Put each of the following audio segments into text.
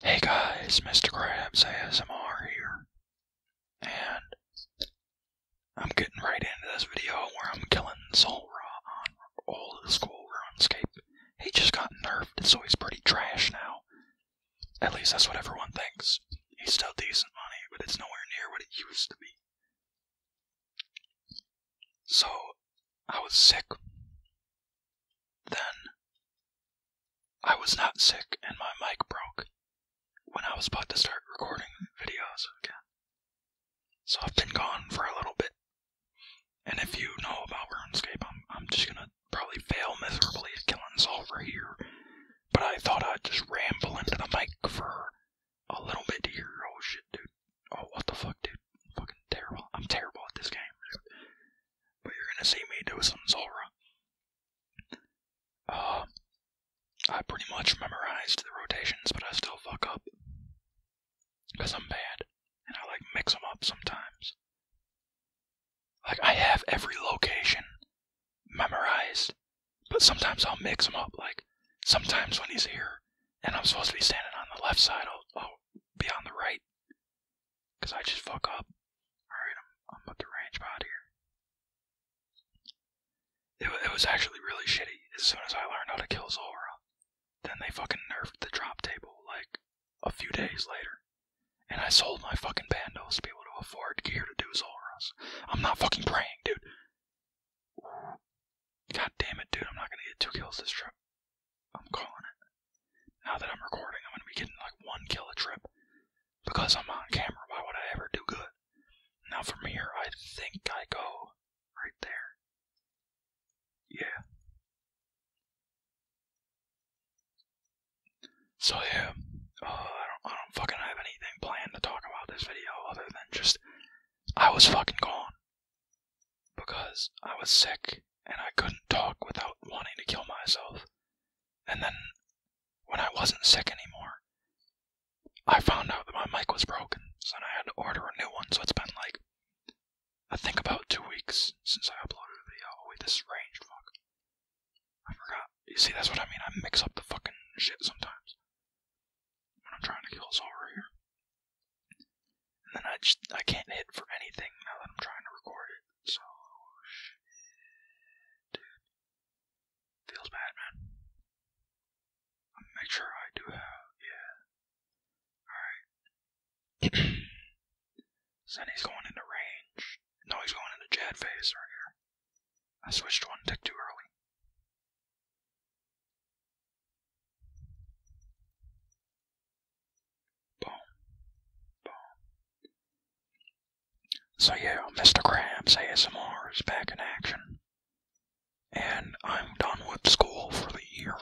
Hey guys, Mr. Krabs ASMR here, and I'm getting right into this video where I'm killing Solra on old school RuneScape. He just got nerfed, so he's pretty trash now. At least that's what everyone thinks. He's still decent money, but it's nowhere near what it used to be. So, I was sick. Then, I was not sick and my mic broke when I was about to start recording videos again. So I've been gone for a little bit. And if you know about RuneScape, I'm, just gonna probably fail miserably at killing Solver here. But I thought I'd just ramble into the mic for a little bit here. Oh shit, dude. Oh, what the fuck, dude? I'm fucking terrible. I'm terrible at this game, But you're gonna see me do some Zora. Uh, I pretty much memorized the rotations, but I still fuck up. Because I'm bad. And I like mix them up sometimes. Like, I have every location memorized, but sometimes I'll mix them up. Like, sometimes when he's here and I'm supposed to be standing on the left side, I'll, I'll be on the right because I just fuck up. Alright, I'm, I'm about to here. It, was actually really shitty as soon as I learned how to kill Zora. Then they fucking nerfed the drop table, like, a few days later. And I sold my fucking bandos to be able to afford gear to do Zoras. I'm not fucking praying, dude. God damn it, dude, I'm not gonna get two kills this trip. I'm calling it. Now that I'm recording, I'm going to be getting like one kill a trip. Because I'm on camera, why would I ever do good? Now from here, I think I go right there. Yeah. So yeah, uh, I don't, I don't fucking have anything planned to talk about this video other than just I was fucking gone because I was sick and I couldn't talk without wanting to kill myself. And then, when I wasn't sick anymore, I found out that my mic was broken, so I had to order a new one. So it's been like, I think about two weeks since I uploaded a video. Oh, wait, this range fuck. I forgot. You see, that's what I mean. I mix up the fucking shit sometimes. When I'm trying to kill us over here. And then I just I can't hit for anything now that I'm trying to record it. So shit, dude, feels bad, man. I'll make sure I do have yeah. All right. Sunny's going into range. No, he's going into Jad phase right here. I switched one tick too early. So yeah, Mr. Krabs ASMR is back in action. And I'm done with school for the year.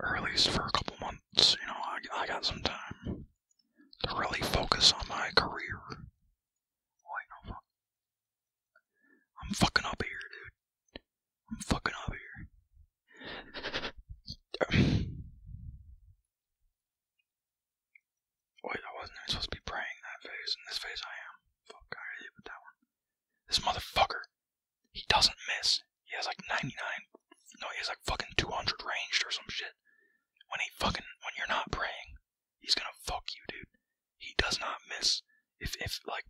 Or at least for a couple months, you know, I, got some time to really focus on my career. I'm fucking up here, dude. I'm fucking out of here. Wait, I wasn't supposed to be praying that phase. In this phase, I am. Fuck, I already with that one. This motherfucker, he doesn't miss. He has like 99. No, he has like fucking 200 ranged or some shit. When he fucking, when you're not praying, he's gonna fuck you, dude. He does not miss. If, if, like,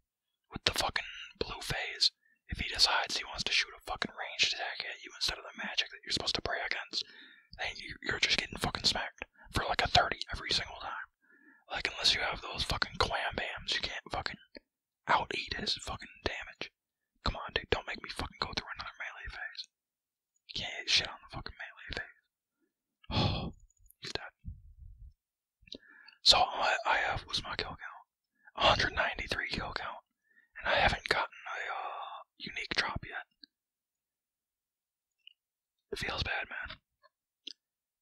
with the fucking blue phase, if he decides he wants to shoot a fucking ranged attack at you instead of the magic that you're supposed to pray against, then you're just getting fucking smacked for like a 30 every single time. Like, unless you have those fucking clam bams, you can't fucking out eat his fucking damage. Come on, dude, don't make me fucking go through another melee phase. You can't hit shit on the fucking melee phase. Oh, he's dead. So, I have was my kill count. 193 kill count, and I haven't gotten a uh, unique drop yet. It feels bad, man.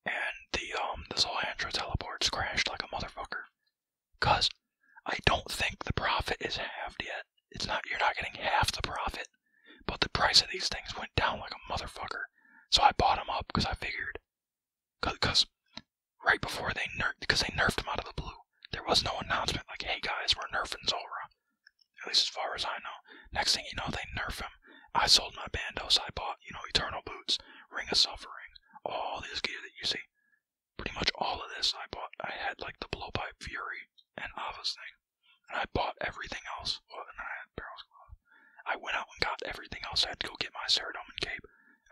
And the um, this whole Andro teleport's crashed like a motherfucker, cause I don't think the profit is halved yet. It's not you're not getting half the profit, but the price of these things went down like a motherfucker. So I bought them up because I figured, cause right before they nerfed, because they nerfed him out of the blue. There was no announcement like, hey guys, we're nerfing Zora. At least as far as I know. Next thing you know, they nerf him. I sold my Bandos, I bought, you know, Eternal Boots, Ring of Suffering, all this gear that you see. Pretty much all of this I bought. I had like the Blowpipe Fury and Ava's thing. And I bought everything else. Well, and I had Barrel's Glove. I went out and got everything else. I had to go get my Ceradomin Cape.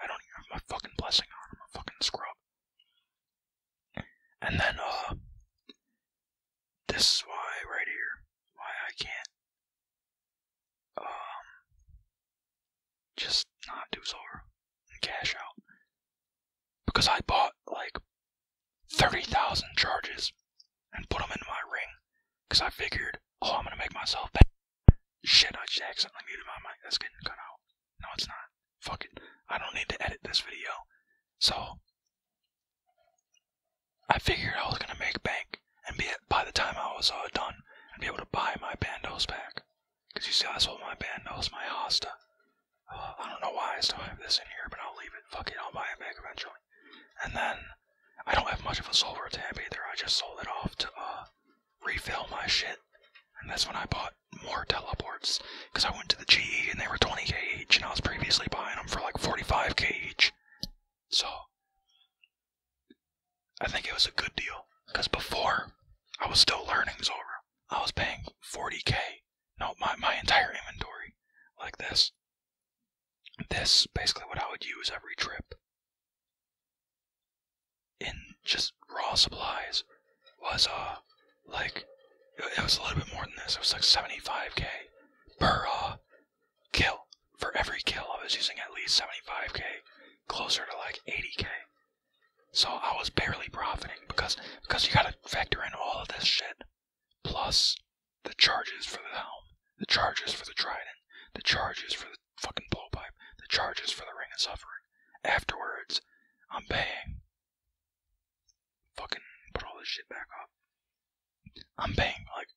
I don't even have my fucking blessing on. I'm a fucking scrub. And then, uh, this is why, right here, why I can't, um, just not do Zora and cash out. Because I bought, like, 30,000 charges and put them in my ring. Because I figured, oh, I'm going to make myself better. Shit, I just accidentally muted my mic. That's getting cut out. No, it's not. Fuck I don't need to edit this video. So, I figured I was gonna make bank, and be, by the time I was uh, done, I'd be able to buy my bandos back. Because you see, I sold my bandos, my hosta. Uh, I don't know why I still have this in here, but I'll leave it. Fuck I'll buy it back eventually. And then, I don't have much of a silver tab either. I just sold it off to uh, refill my shit. And that's when I bought more teleports. Because I went to the GE and they were 20k each, and I was previously buying them for like 45k each. So, I think it was a good deal. Because before, I was still learning Zora. I was paying 40k. No, my, my entire inventory. Like this. This, basically what I would use every trip in just raw supplies was uh like it was a little bit more than this. It was like 75k per uh, kill. For every kill, I was using at least 75k, closer to like 80k. So I was barely profiting because because you gotta factor in all of this shit, plus the charges for the helm, the charges for the trident, the charges for the fucking blowpipe, the charges for the ring of suffering. Afterwards, I'm paying. Fucking put all this shit back up. I'm paying like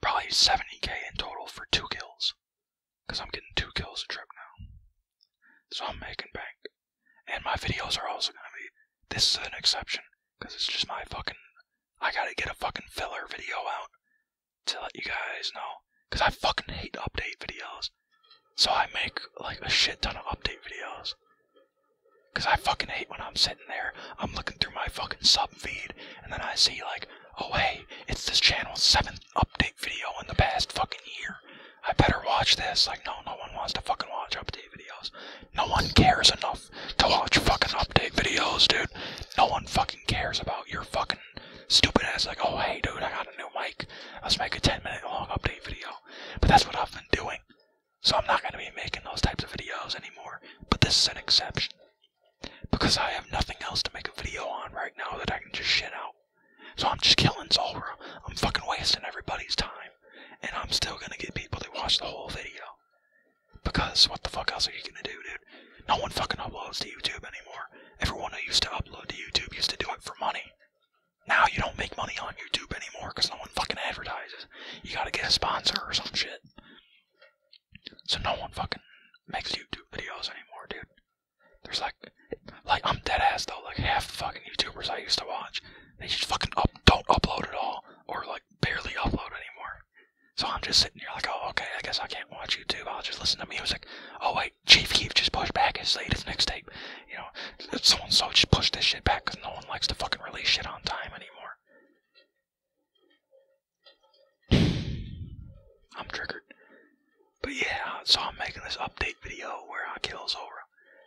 probably 70k in total for two kills. Because I'm getting two kills a trip now. So I'm making bank. And my videos are also gonna be. This is an exception. Because it's just my fucking. I gotta get a fucking filler video out to let you guys know. Because I fucking hate update videos. So I make like a shit ton of update videos. Cause I fucking hate when I'm sitting there, I'm looking through my fucking sub feed, and then I see like, oh hey, it's this channel's seventh update video in the past fucking year. I better watch this. Like no, no one wants to fucking watch update videos. No one cares enough to watch fucking update videos, dude. No one fucking cares about your fucking stupid ass like, oh hey dude, I got a new mic. Let's make a 10 minute long update video. But that's what I've been doing. So I'm not gonna be making those types of videos anymore. But this is an exception. Because I have nothing else to make a video on right now that I can just shit out. So I'm just killing Zora. I'm fucking wasting everybody's time. And I'm still gonna get people that watch the whole video. Because what the fuck else are you gonna do, dude? No one fucking uploads to YouTube anymore. Everyone who used to upload to YouTube used to do it for money. Now you don't make money on YouTube anymore because no one fucking advertises. You gotta get a sponsor or some shit. So no one fucking makes YouTube videos anymore, dude. There's like, like I'm dead ass though. Like half fucking YouTubers I used to watch, they just fucking up don't upload at all or like barely upload anymore. So I'm just sitting here like, oh okay, I guess I can't watch YouTube. I'll just listen to music. Oh wait. Chief Keef just pushed back his latest tape, You know, so and so just pushed this shit back because no one likes to fucking release shit on time anymore. I'm triggered. But yeah, so I'm making this update video where I kill Zora.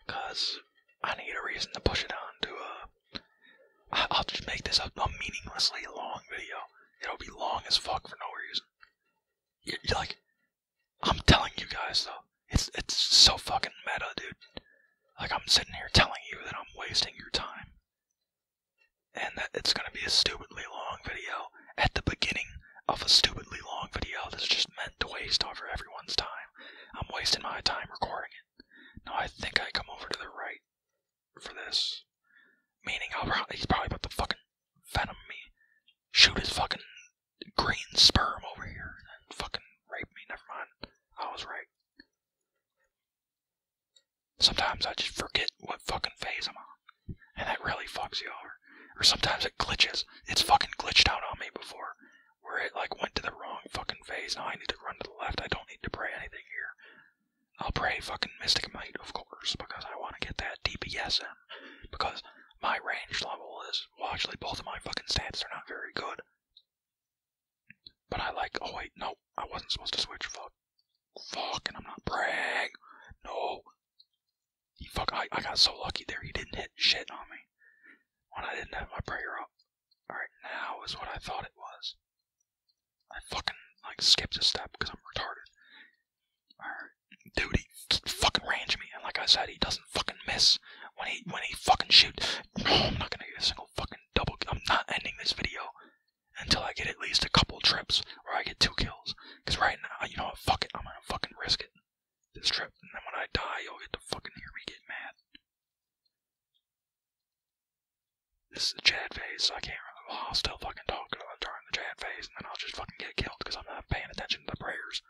Cause I need a reason to push it on to a, uh, will just make this a, meaninglessly long video. It'll be long as fuck for no reason. you you're like I'm telling you guys though, it's it's so fucking meta, dude. Like I'm sitting here telling you that I'm wasting your time. And that it's gonna be a stupidly long video at the beginning of a stupidly long video that's just meant to waste over everyone's time. I'm wasting my time recording it. Now I think I come over to the right for this. Meaning I'll he's probably about to fucking venom me. Shoot his fucking green sperm over here and fucking rape me. Never mind. I was right. Sometimes I just forget what fucking phase I'm on. And that really fucks you over. Or sometimes it glitches. It's fucking glitched out on me before. Where it like went to the wrong fucking phase. Now I need to run to the left. I don't need to pray anything here. I'll pray fucking Mystic Might, of course, because I want to get that DPS in because my range level is, well, actually, both of my fucking stats are not very good. But I like, oh wait, no, I wasn't supposed to switch, fuck. Fuck, and I'm not bragging. No. fuck, I, I got so lucky there, he didn't hit shit on me when I didn't have my prayer up. Alright, now is what I thought it was. I fucking, like, skipped a step because I'm retarded. Dude, he fucking range me, and like I said, he doesn't fucking miss when he when he fucking shoot. No, I'm not gonna get a single fucking double. I'm not ending this video until I get at least a couple trips where I get two kills. Cause right now, you know Fuck it, I'm gonna fucking risk it this trip, and then when I die, you'll get to fucking hear me get mad. This is the chat phase, so I can't remember. Well, I'll still fucking talk during the chat phase, and then I'll just fucking get killed because I'm not paying attention to the prayers.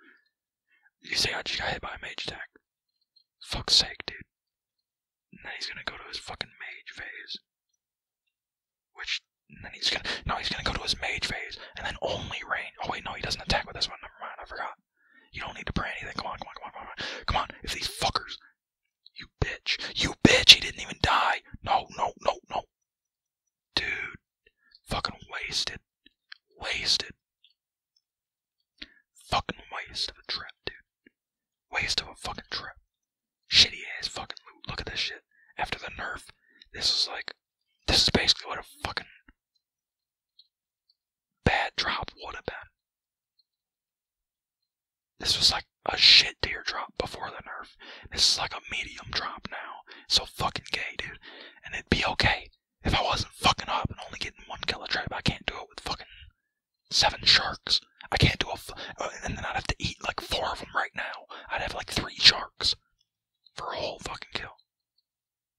You see, I just got hit by a mage attack. Fuck's sake, dude. And then he's gonna go to his fucking mage phase. Which, and then he's gonna, no, he's gonna go to his mage phase, and then only rain. Oh wait, no, he doesn't attack with this one, never mind, I forgot. You don't need to pray anything, come on, come on, come on, come on, come on, if these fuckers, you bitch, you bitch, he didn't even die. No, no, no, no. Dude, fucking wasted. Wasted. Fucking waste of a trip, dude. Waste of a fucking trip. Shitty ass fucking Look at this shit. After the nerf, this is like. This is basically what a fucking bad drop would have been. This was like a shit tier drop before the nerf. This is like a medium drop now. So fucking gay, dude. And it be okay if I wasn't fucking up and only getting one kill a trip. I can't do it with fucking seven sharks. I can't do a. F- uh, and then I'd have to eat like four of them right now. I'd have like three sharks for a whole fucking kill.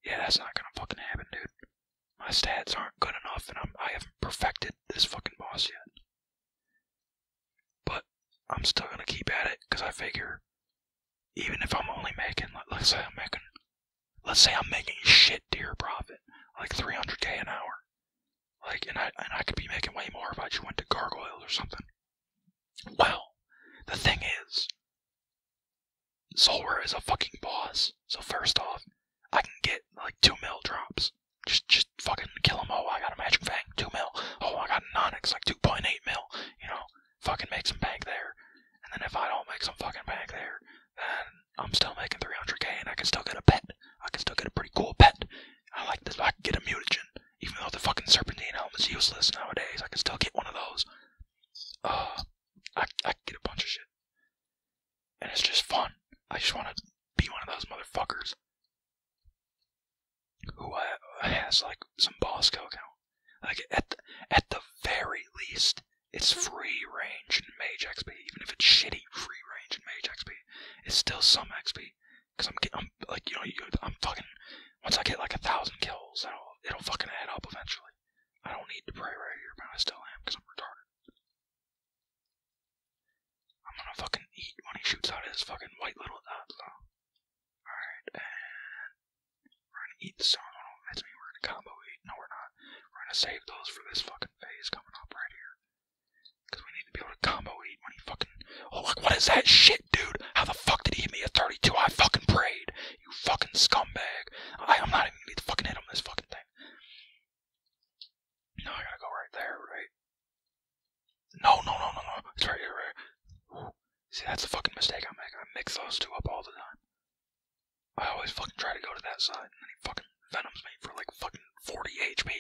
Yeah, that's not gonna fucking happen, dude. My stats aren't good enough, and I'm, I haven't perfected this fucking boss yet. But I'm still gonna keep at it because I figure even if I'm only making, let's say I'm making, let's say I'm making shit dear profit, like 300k an hour, like, and I and I could be making way more if I just went to gargoyles or something. Well, the thing is, Zolwer is a fucking boss. So first off, I can get like two mil drops. Just just fucking kill him. Oh, I got a magic fang, two mil. Oh, I got an onyx, like 2.8 mil. You know, fucking make some bank there. And then if I don't make some fucking bank there, then I'm still making 300k and I can still get a pet. I can still get a pretty cool pet. I like this. I get a mutagen. Even though the fucking serpentine helm is useless nowadays, I can still get one of those. Uh, I, I get a bunch of shit. And it's just fun. I just want to be one of those motherfuckers who uh, has like some Bosco account. Like at at the very least, it's mm-hmm. free range and Mage XP. Even if it's shitty free range and Mage XP, it's still some XP. Cause I'm I'm like you know you, I'm fucking once I get like a thousand kills, it'll it'll fucking add up eventually. I don't need to pray right here, but I still am because I'm retarded. I'm gonna fucking eat when he shoots out his fucking white little dot uh, Alright, we're gonna eat some. I don't know if that's me. We're gonna combo eat. No, we're not. We're gonna save those for this fucking phase coming up right here. Because we need to be able to combo eat when he fucking. Oh, look, what is that shit, dude? How the fuck did he hit me at 32? I fucking prayed. You fucking scumbag. I, I'm not even gonna need to fucking hit him this fucking thing. No, I gotta go right there, right? No, no, no, no, no. It's right here, right here. See, that's a fucking mistake I make. I mix those two up all the time. I always fucking try to go to that side, and then he fucking venoms me for like fucking 40 HP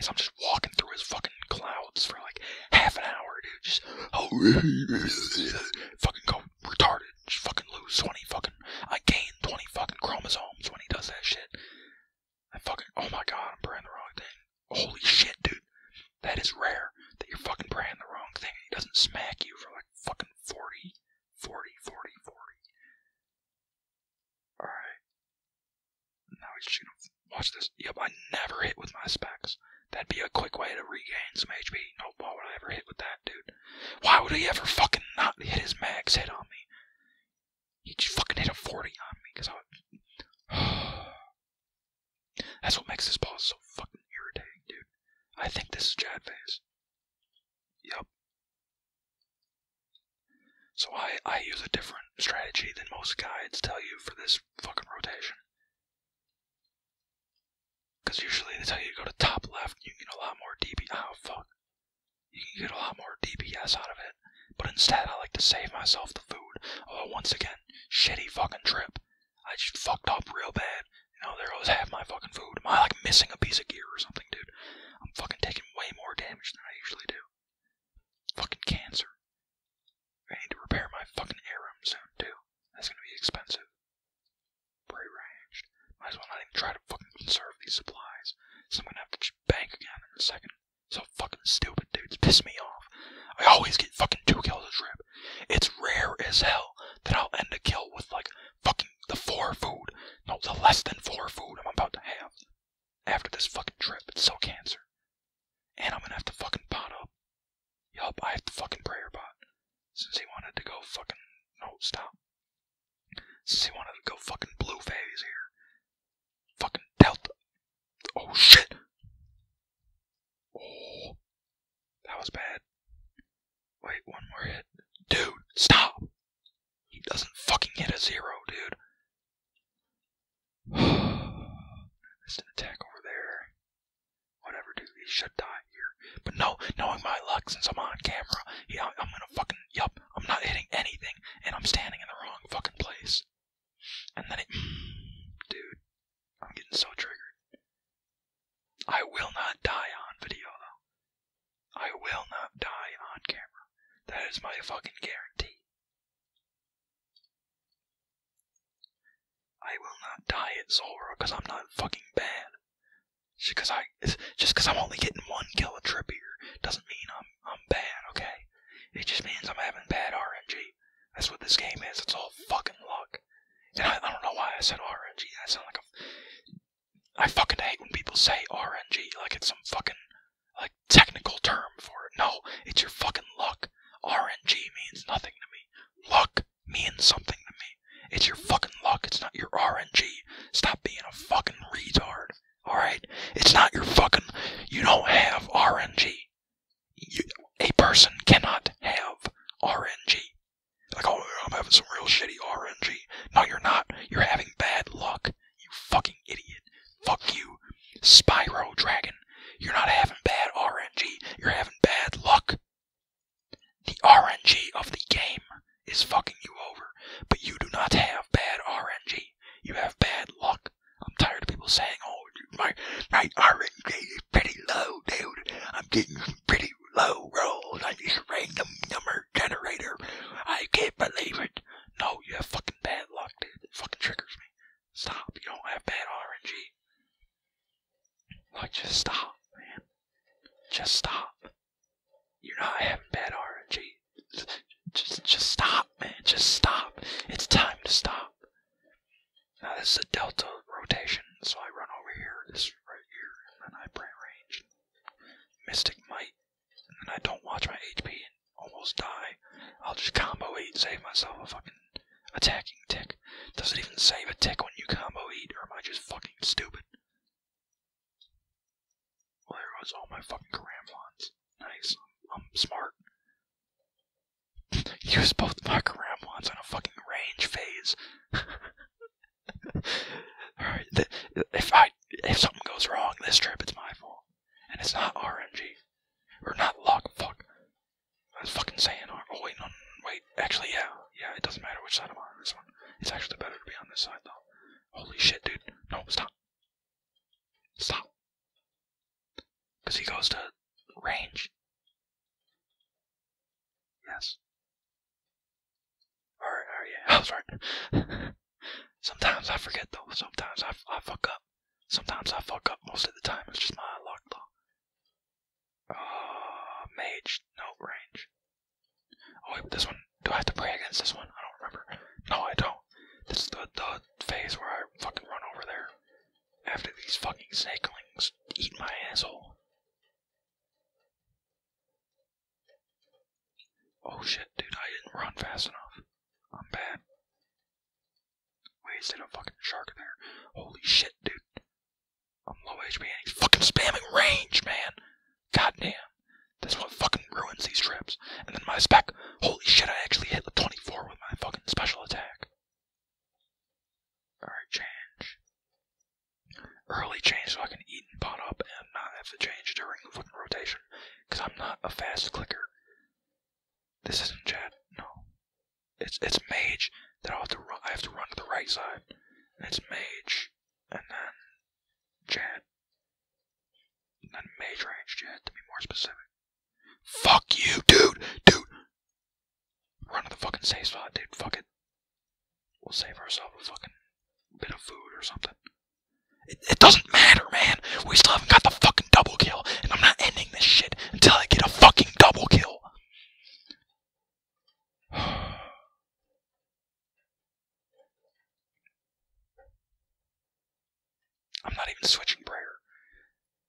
as I'm just walking through his fucking clouds for like half an hour, dude. Just oh, fucking go retarded. Just fucking lose 20 fucking. I gain 20 fucking chromosomes when he does that shit. I fucking. Oh my god, I'm praying the wrong thing. Holy shit, dude. That is rare that you're fucking praying the wrong thing and doesn't smack you for like fucking 40, 40, 40, 40. Alright. Now he's shooting. Watch this. Yep, I never hit with my specs. That'd be a quick way to regain some HP. No ball would I ever hit with that, dude. Why would he ever fucking not hit his max head on me? He just fucking hit a 40 on me because I was. That's what makes this pause so fucking irritating, dude. I think this is Jad phase. Yep. So I, I use a different strategy than most guides tell you for this fucking rotation. Because usually they tell you to go to top left, you get a lot more DB. Oh, ah, fuck. You can get a lot more DPS out of it. But instead, I like to save myself the food. of oh, a once again, shitty fucking trip. I just fucked up real bad. You know, there goes half my fucking food. Am I like missing a piece of gear or something, dude? I'm fucking taking way more damage than I usually do. Fucking cancer. I need to repair my fucking arum soon, too. That's gonna be expensive. Pre-ranged. Might as well not even try to fucking conserve these supplies. So I'm gonna have to bank again in a second. So fucking stupid, dudes. Piss me off. I always get fucking two kills a trip. It's rare as hell that I'll end a kill with like fucking the four food. No, the less than four food I'm about to have after this fucking trip. It's so cancer. And I'm gonna have to fucking pot up. Yup, I have to fucking prayer pot. Since he wanted to go fucking. No, stop. Since he wanted to go fucking blue phase here. Fucking Delta. Oh shit. Oh, that was bad. Wait, one more hit. Dude, stop! He doesn't fucking hit a zero, dude. missed an attack over there. Whatever, dude, he should die here. But no, knowing my luck, since I'm on camera, I'm gonna fucking, yup, I'm not hitting anything, and I'm standing in the wrong fucking place. And then dude, I'm getting so triggered. I will not die on video, though. I will not die on camera. That is my fucking guarantee. I will not die at Zora because I'm not fucking bad. Just because I, just because I'm only getting one kill a trip here doesn't mean I'm I'm bad, okay? It just means I'm having bad RNG. That's what this game is. It's all fucking luck. And I, don't know why I said RNG. I sound like a. I fucking hate when people say RNG like it's some fucking like technical term for it. No, it's your fucking luck. RNG means nothing to me. Luck means something to me. It's your fucking luck. It's not your RNG. Stop being a fucking retard. Alright? It's not your fucking. You don't have RNG. a person cannot have RNG. Like, oh, I'm having some real shitty RNG. No, you're not. You're having bad luck. You fucking idiot. Fuck you. Spyro Dragon. You're not having bad RNG. You're having bad luck. The RNG of the game is fucking you over. But you do not have bad RNG. You have bad luck. I'm tired of people saying, oh, my, my RNG is pretty low, dude. I'm getting pretty low roll I just rang the number generator. I can't believe it. No, you have fucking bad luck, dude. It fucking triggers me. Stop. You don't have bad RNG. Like, just stop, man. Just stop. You're not having bad RNG. Just, just stop, man. Just stop. It's time to stop. Now this is a delta rotation, so I run over here, this right here, and then I brand range. Mystic Might, and then I don't watch my HP and almost die. I'll just combo eat, save myself a fucking attacking tick. Does it even save a tick when you combo eat, or am I just fucking stupid? Well, there goes all my fucking Karamblons. Nice. I'm smart. Use both my Karamblons on a fucking range phase. Alright, if I if something goes wrong this trip, it's my fault, and it's not RNG We're not luck. Fuck, I was fucking saying. oh wait, no, wait. Actually, yeah, yeah. It doesn't matter which side I'm on. This one. It's actually better to be on this side though. Holy shit, dude. No, stop. Stop. Cause he goes to range. Yes. Or, yeah, I'm sorry. sometimes I forget though. Sometimes I, fuck up. Sometimes I fuck up. Most of the time, it's just my luck though. Uh, mage, no range. Oh wait, but this one. Do I have to pray against this one? I don't remember. No, I don't. This is the the phase where I fucking run over there after these fucking snakelings eat my asshole. Oh shit, dude, I didn't run fast enough. I'm bad. Wasted a fucking shark in there. Holy shit, dude. I'm low HP and he's fucking spamming range, man. God damn, That's what fucking ruins these trips. And then my spec. Holy shit, I actually hit the 24 with my fucking special attack. Alright, change early change so I can eat and pot up and not have to change during the fucking rotation. Because I'm not a fast clicker. This isn't chat. No. It's it's mage that I have to run. to the right side. And it's mage, and then chat, and mage range chat to be more specific. Fuck you, dude, dude. Run to the fucking safe spot, dude. Fuck it. We'll save ourselves a fucking bit of food or something. It, doesn't matter, man. We still haven't got the fucking double kill, and I'm not ending this shit until I get a fucking double kill. I'm not even switching prayer.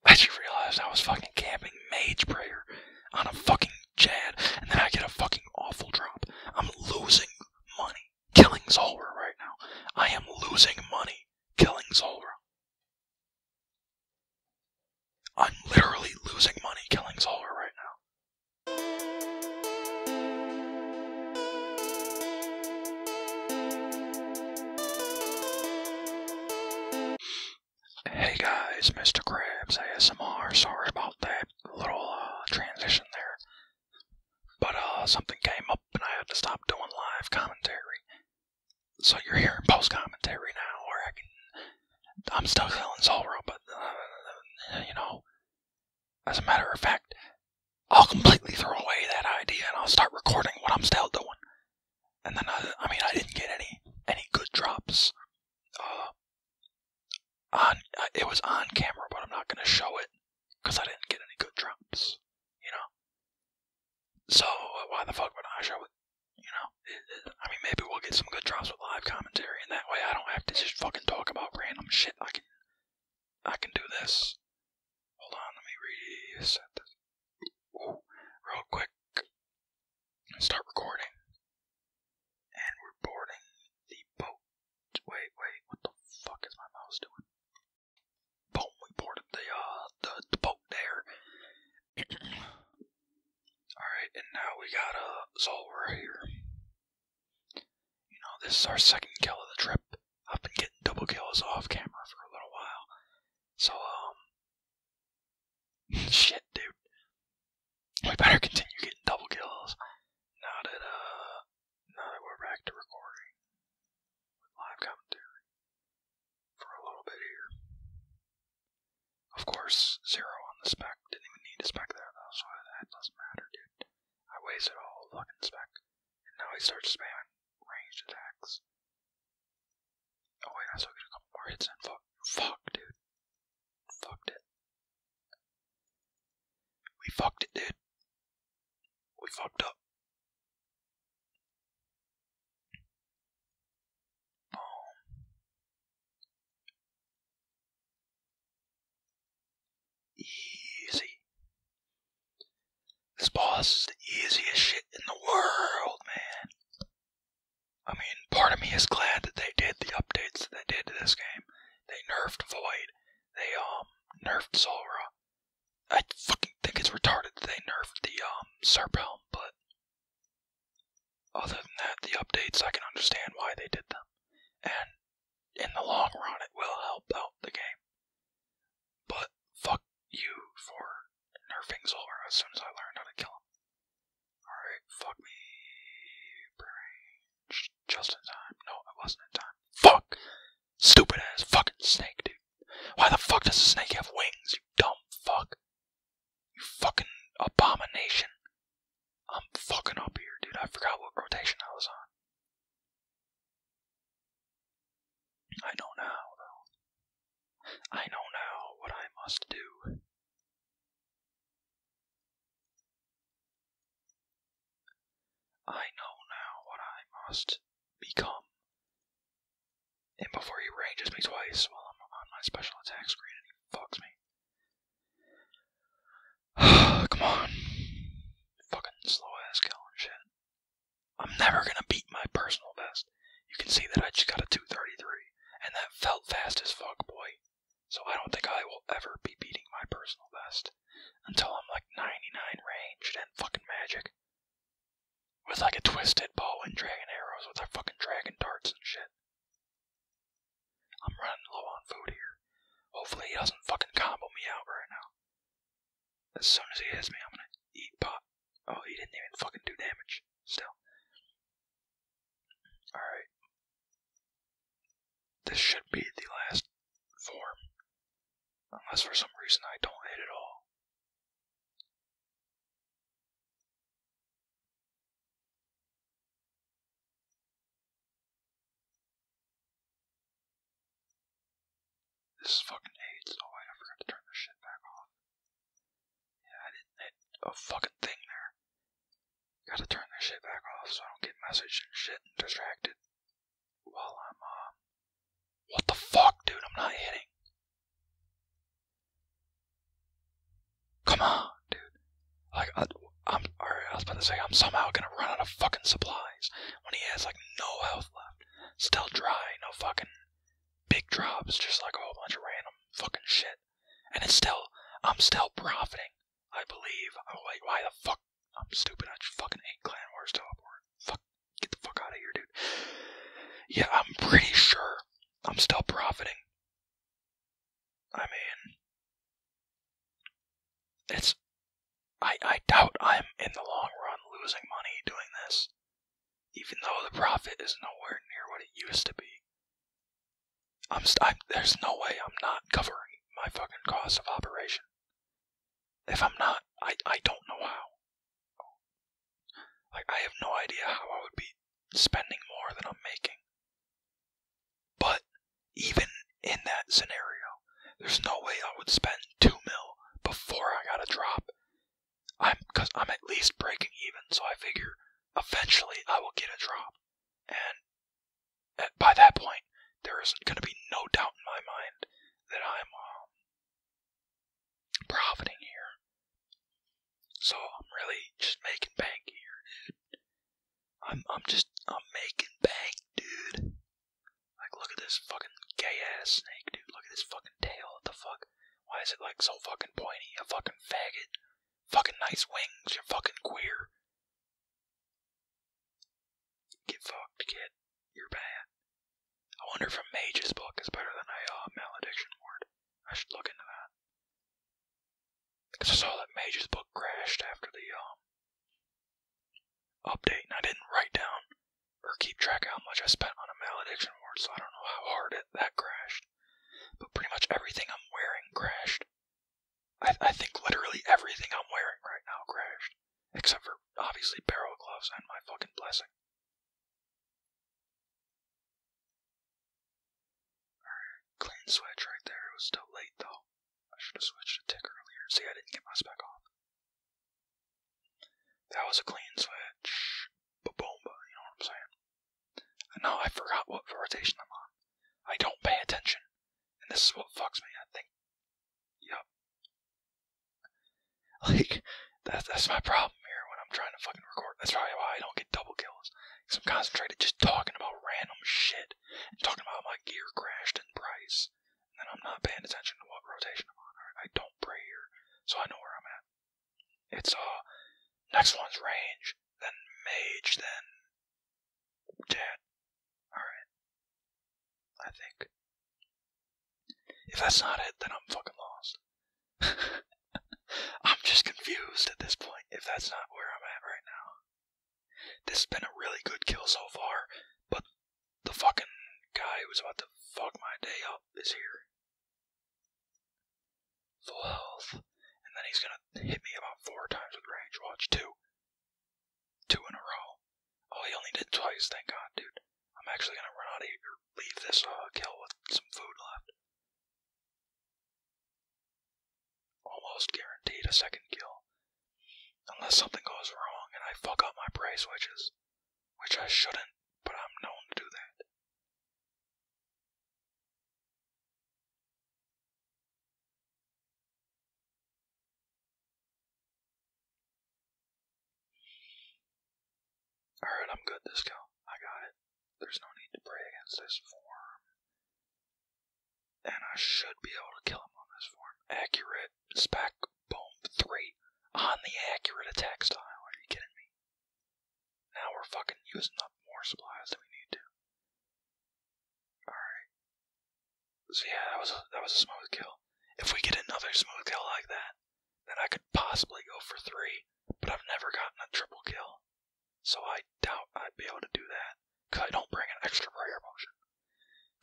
I just realized I was fucking camping mage prayer on a fucking Chad, and then I get a fucking awful drop. I'm losing money killing Zolra right now. I am losing money killing Zolra. I'm literally losing money killing Zolra right now. Hey guys, Mr. Krebs, ASMR. Sorry about that little uh, transition there. But uh, something came up and I had to stop doing live commentary. So you're hearing post commentary now, or I can. I'm still selling Zora, but uh, you know. As a matter of fact, I'll completely throw away that idea and I'll start recording what I'm still doing. And then I, mean, I didn't get any any good drops on uh, it was on camera, but I'm not gonna show it because I didn't get any good drops, you know. So uh, why the fuck would I show it? You know, I mean, maybe we'll get some good drops with live commentary, and that way I don't have to just fucking talk about random shit. I can, I can do this. Hold on, let me reset this. real quick start recording. And we're boarding the boat. Wait, wait, what the fuck is my mouse doing? Boom, we boarded the uh the, boat there. Alright, and now we got a so we're here. You know, this is our second kill of the trip. I've been getting double kills off camera for a little while. So um Shit, dude. We better continue getting double kills. Now that uh, now that we're back to recording live commentary for a little bit here. Of course, zero on the spec. Didn't even need a spec there though, so that doesn't matter, dude. I wasted all the fucking spec, and now he starts spamming ranged attacks. Oh wait, I still get a couple more hits in. fuck, dude fucked it. We fucked it, dude. We fucked up. Boom. Easy. This boss is the easiest shit in the world, man. I mean, part of me is glad that they did the updates that they did to this game. They nerfed Void. They um nerfed Zora. I fucking think it's retarded that they nerfed the um Serp but other than that, the updates I can understand why they did them, and in the long run, it will help out the game. But fuck you for nerfing Zora as soon as I learned how to kill him. Alright, fuck me. Brain. Just in time. No, I wasn't in time. Fuck! Stupid ass fucking snake, dude. Why the fuck does a snake have wings, you dumb fuck? You fucking abomination. I'm fucking up here, dude. I forgot what rotation I was on. I know now, though. I know now what I must do. I know now what I must become. And before he ranges me twice while I'm on my special attack screen and fucks me. Come on. Fucking slow ass kill I'm never gonna beat my personal best. You can see that I just got a 233, and that felt fast as fuck, boy. So I don't think I will ever be beating my personal best until I'm like 99 ranged and fucking magic. With like a twisted bow and dragon arrows with our fucking dragon darts and shit. I'm running low on food here. Hopefully he doesn't fucking combo me out right now. As soon as he hits me, I'm gonna eat pot. Oh, he didn't even fucking do damage. Still. Alright. This should be the last form, unless for some reason I don't hit it all. This is fucking AIDS. Oh, I forgot to turn this shit back off. Yeah, I didn't hit a fucking thing there. Gotta turn this shit back off so I don't get messaged and shit and distracted while I'm, uh. What the fuck, dude? I'm not hitting. Come on, dude. Like, I, I'm. Alright, I was about to say, I'm somehow gonna run out of fucking supplies when he has, like, no health left. Still dry, no fucking big drops, just like a whole bunch of random fucking shit. And it's still. I'm still profiting I believe. I why the fuck? I'm stupid. I just fucking ate Clan Wars Teleport. Fuck. Get the fuck out of here, dude. Yeah, I'm pretty sure I'm still profiting. I mean, it's. I, I doubt I'm, in the long run, losing money doing this. Even though the profit is nowhere near what it used to be. I'm, there's no way I'm not covering my fucking cost of operation. If I'm not, I I don't know how. Like I have no idea how I would be spending more than I'm making. But even in that scenario, there's no way I would spend two mil before I got a drop. I'm I'm at least breaking even, so I figure eventually I will get a drop, and by that point, there is not going to be no doubt in my mind that I'm um, profiting here. So I'm really just making bank here, dude. I'm I'm just I'm making bank, dude. Like look at this fucking gay ass snake, dude. Look at this fucking tail. What the fuck? Why is it like so fucking pointy? A fucking faggot. Fucking nice wings. You're fucking queer. Get fucked, kid. You're bad. I wonder if a mage's book is better than a uh, malediction ward. I should look into that. Because I saw that mage's book crashed after the um update, and I didn't write down or keep track how much I spent on a malediction ward, so I don't know how hard it that crashed. But pretty much everything I'm wearing crashed. I, think literally everything I'm wearing right now crashed, except for obviously barrel gloves and my fucking blessing. Alright, clean switch right there. It was still late though. I should have switched a tick earlier. See, I didn't get my spec off. That was a clean switch. But boom, ba, you know what I'm saying? And now I forgot what rotation I'm on. I don't pay attention and this is what fucks me. I think, yep. Like, that's, my problem here when I'm trying to fucking record. That's probably why I don't get double kills. Because I'm concentrated just talking about random shit. talking about my gear crashed in price. And then I'm not paying attention to what rotation I'm on. I don't pray here. So I know where I'm at. It's, uh, next one's range, then mage, then Dad, alright. I think. If that's not it, then I'm fucking lost. I'm just confused at this point, if that's not where I'm at right now. This has been a really good kill so far, but the fucking guy who's about to fuck my day up is here. Full health and then he's gonna hit me about four times with range. Watch two, two in a row. Oh, he only did twice. Thank God, dude. I'm actually gonna run out of here, leave this uh, kill with some food left. Almost guaranteed a second kill, unless something goes wrong and I fuck up my prey switches, which I shouldn't, but I'm known to do that. Alright, I'm good, this cow. I got it. There's no need to pray against this form. And I should be able to kill him on this form. Accurate. Spec. Boom. Three. On the accurate attack style. Are you kidding me? Now we're fucking using up more supplies than we need to. Alright. So yeah, that was a, that was a smooth kill. If we get another smooth kill like that, then I could possibly go for three. But I've never gotten a triple kill, so I doubt I'd be able to do that. Cause I don't bring an extra prayer potion.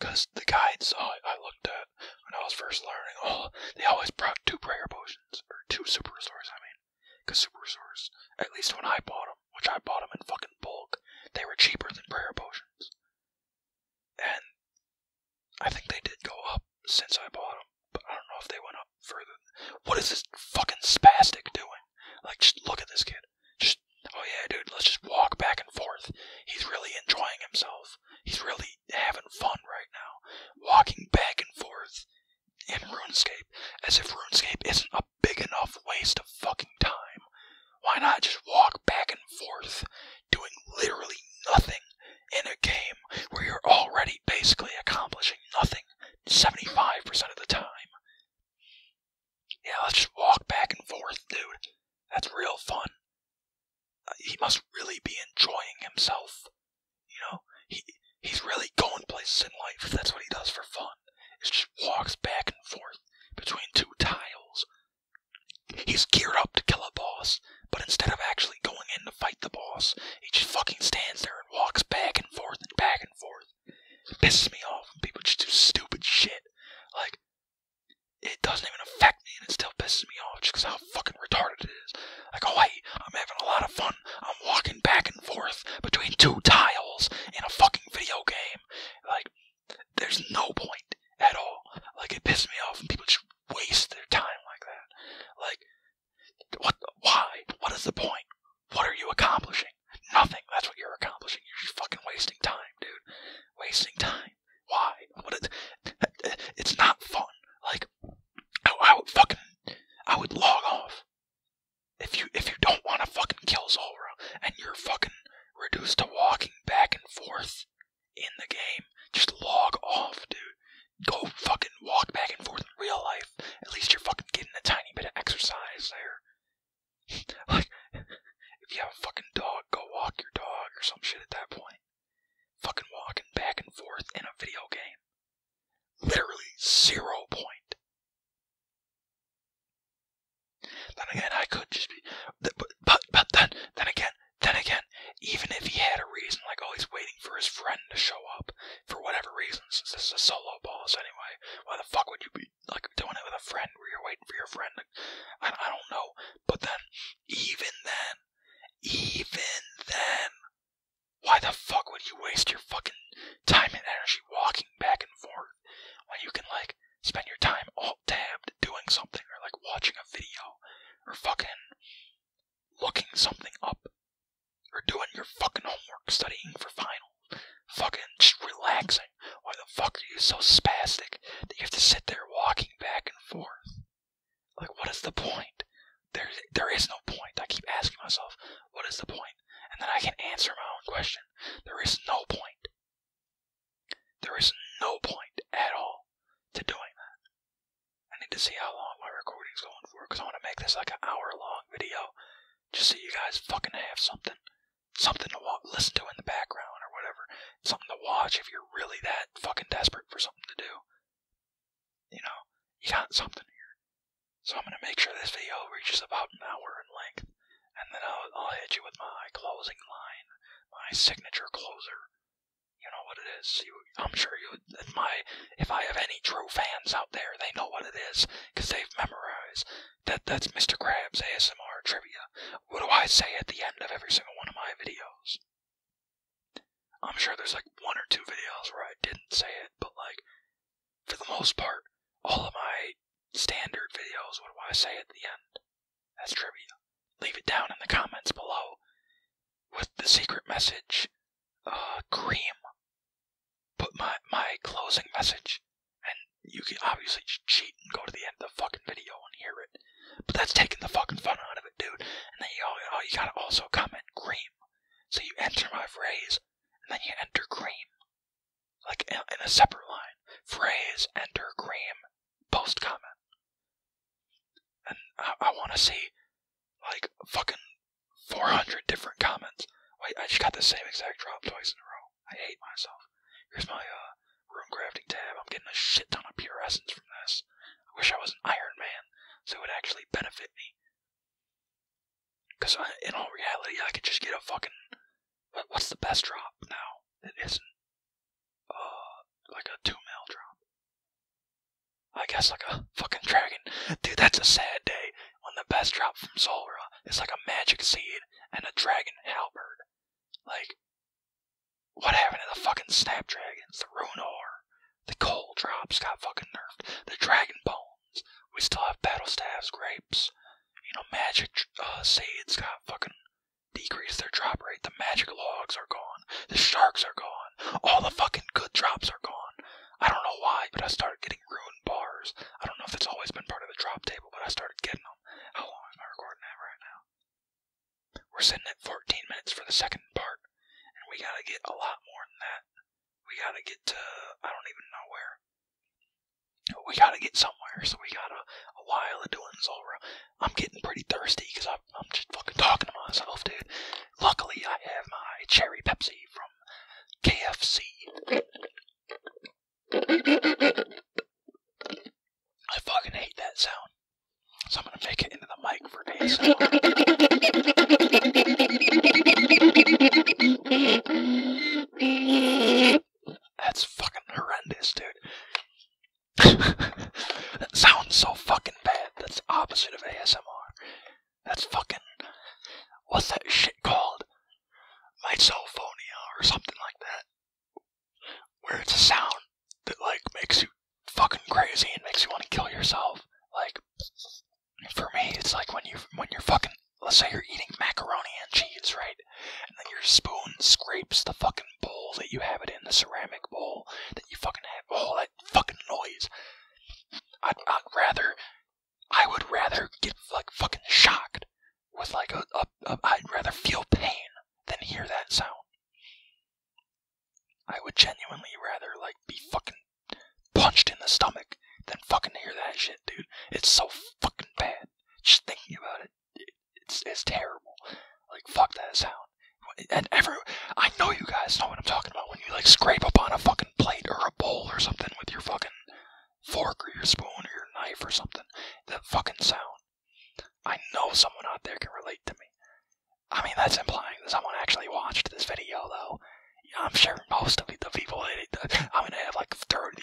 Cause the guides oh, I, looked at when I was first learning, oh, they always brought two prayer potions or two super restores. I mean, cause super restores, at least when I bought which I bought them in fucking bulk. They were cheaper than prayer potions. And I think they did go up since I bought them, but I don't know if they went up further. What is this fucking spastic doing? Like, just look at this kid. Just, oh yeah, dude, let's just walk back and forth. He's really enjoying himself. He's really having fun right now. Walking back and forth in RuneScape, as if RuneScape isn't a big enough waste of fucking time. Why not just walk back and forth doing literally nothing in a game where you're already basically accomplishing nothing 75% of the time? Yeah, let's just walk back and forth, dude. That's real fun. Uh, he must really be enjoying himself. You know, he he's really going places in life. If That's what he does for fun. Is just walks back and forth between two tiles. He's geared up to kill a boss, but instead of actually going in to fight the boss, he just fucking stands there and walks back and forth and back and forth. It pisses me off when people just do stupid shit. Like, it doesn't even affect me, and it still pisses me off just because how fucking retarded it is. Like, oh, hey, I'm having a lot of fun. I'm walking back and forth between two tiles in a fucking video game. Like, there's no point at all. Like it pisses me off when people just waste their time like that. Like what? Why? What is the point? What are you accomplishing? Nothing. That's what you're accomplishing. You're just fucking wasting time, dude. Wasting time. Why? What? it's not fun. Like I, I would fucking I would log off if you if you don't want to fucking kill Zora and you're fucking reduced to walking back and forth in the game, just log off, dude. Go fucking walk back and forth in real life. At least you're fucking getting a tiny bit of exercise there. like, if you have a fucking dog, go walk your dog or some shit at that point. Fucking walking back and forth in a video game. Literally zero point then again, I could just be, but but then then again then again, even if he had a reason, like oh he's waiting for his friend to show up for whatever reason, since this is a solo boss anyway, why the fuck would you be like doing it with a friend where you're waiting for your friend? I I don't know, but then even then, even then, why the fuck would you waste your fucking time and energy walking back and forth when you can like spend your time alt tabbed doing something or like watching a video or fucking looking something up or doing your fucking homework, studying for finals, fucking just relaxing. Why the fuck are you so spastic that you have to sit there walking back and forth? Like, what is the point? There, there is no point. I keep asking myself, what is the point? And then I can answer my own question. There is no point. There is no point at all to doing that. I need to see how long my recording is going for because I want to make this like an hour long video just so you guys fucking have something. Something to wa- listen to in the background or whatever. Something to watch if you're really that fucking desperate for something to do. You know, you got something here. So I'm going to make sure this video reaches about an hour in length and then I'll, hit you with my closing line, my signature closer. You know what it is. I'm sure you. If my, if I have any true fans out there, they know what it is because they've memorized. That that's Mr. Krabs ASMR trivia. What do I say at the end of every single one of my videos? I'm sure there's like one or two videos where I didn't say it, but like, for the most part, all of my standard videos, what do I say at the end? That's trivia. Leave it down in the comments below with the secret message, uh, cream. Put my, my closing message, and you can obviously cheat and go to the end of the fucking video and hear it. But that's taking the fucking fun out of it, dude. And then you, all oh, you gotta also comment cream. So you enter my phrase, and then you enter cream like in a separate line, phrase, enter, cream, post comment. And I, want to see like fucking 400 different comments. Wait, I just got the same exact drop twice in a row. I hate myself. Here's my uh, room crafting tab. I'm getting a shit ton of pure essence from this. I wish I was an Iron Man, so it would actually benefit me. Because in all reality, I could just get a fucking what's the best drop now? It isn't uh like a two mil drop. I guess like a fucking dragon. Dude, that's a sad day when the best drop from Zolra is like a magic seed and a dragon halberd. Like, what happened to the fucking snapdragons, the runor, the coal drops got fucking nerfed, the dragon bones. We still have battlestaffs, grapes, you know, magic uh, Saiyans got fucking decreased their drop rate. The magic logs are gone. The sharks are gone. All the fucking good drops are gone. I don't know why, but I started getting ruined bars. I don't know if it's always been part of the drop table, but I started getting them. How long am I recording that right now? We're sitting at 14 minutes for the second part, and we gotta get a lot more than that. We gotta get to, I don't even know where we gotta get somewhere, so we got a, a while of doing Zora. I'm getting pretty thirsty because I'm just fucking talking to myself, dude. Luckily, I have my cherry Pepsi from KFC. I fucking hate that sound. So I'm gonna make it into the mic for ASMR. That's fucking horrendous, dude. that sounds so fucking bad. That's the opposite of ASMR. That's fucking. What's that shit called? Misophonia or something like that. Where it's a sound that, like, makes you fucking crazy and makes you want to kill yourself. Like, for me, it's like when you when you're fucking. Let's say you're eating macaroni and cheese, right? and then your spoon scrapes the fucking bowl that you have it in, the ceramic bowl that you fucking have. All that fucking noise! I'd, rather, I would rather get like fucking shocked with like a, a, a. I'd rather feel pain than hear that sound. I would genuinely rather like be fucking punched in the stomach than fucking hear that shit, dude. It's so fucking bad. Just thinking about it it's, it's terrible. Like fuck that sound. And every I know you guys know what I'm talking about when you like scrape up on a fucking plate or a bowl or something with your fucking fork or your spoon or your knife or something. That fucking sound. I know someone out there can relate to me. I mean, that's implying that someone actually watched this video, though. I'm sure most of the people, that I'm gonna have like 30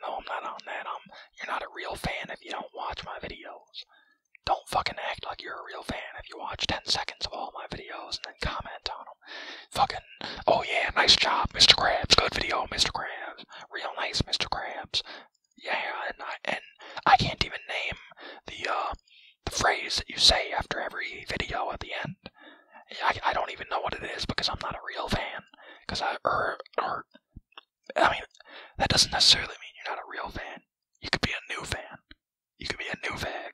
no, I'm not on that. I'm, you're not a real fan if you don't watch my videos. Don't fucking act like you're a real fan if you watch 10 seconds of all my videos and then comment on them. Fucking, oh yeah, nice job, Mr. Krabs. Good video, Mr. Krabs. Real nice, Mr. Krabs. Yeah, and I, and I can't even name the, uh, the phrase that you say after every video at the end. I, I don't even know what it is because I'm not a real fan. Because I, or, er, er, I mean, that doesn't necessarily mean you're not a real fan. You could be a new fan. You could be a new fag.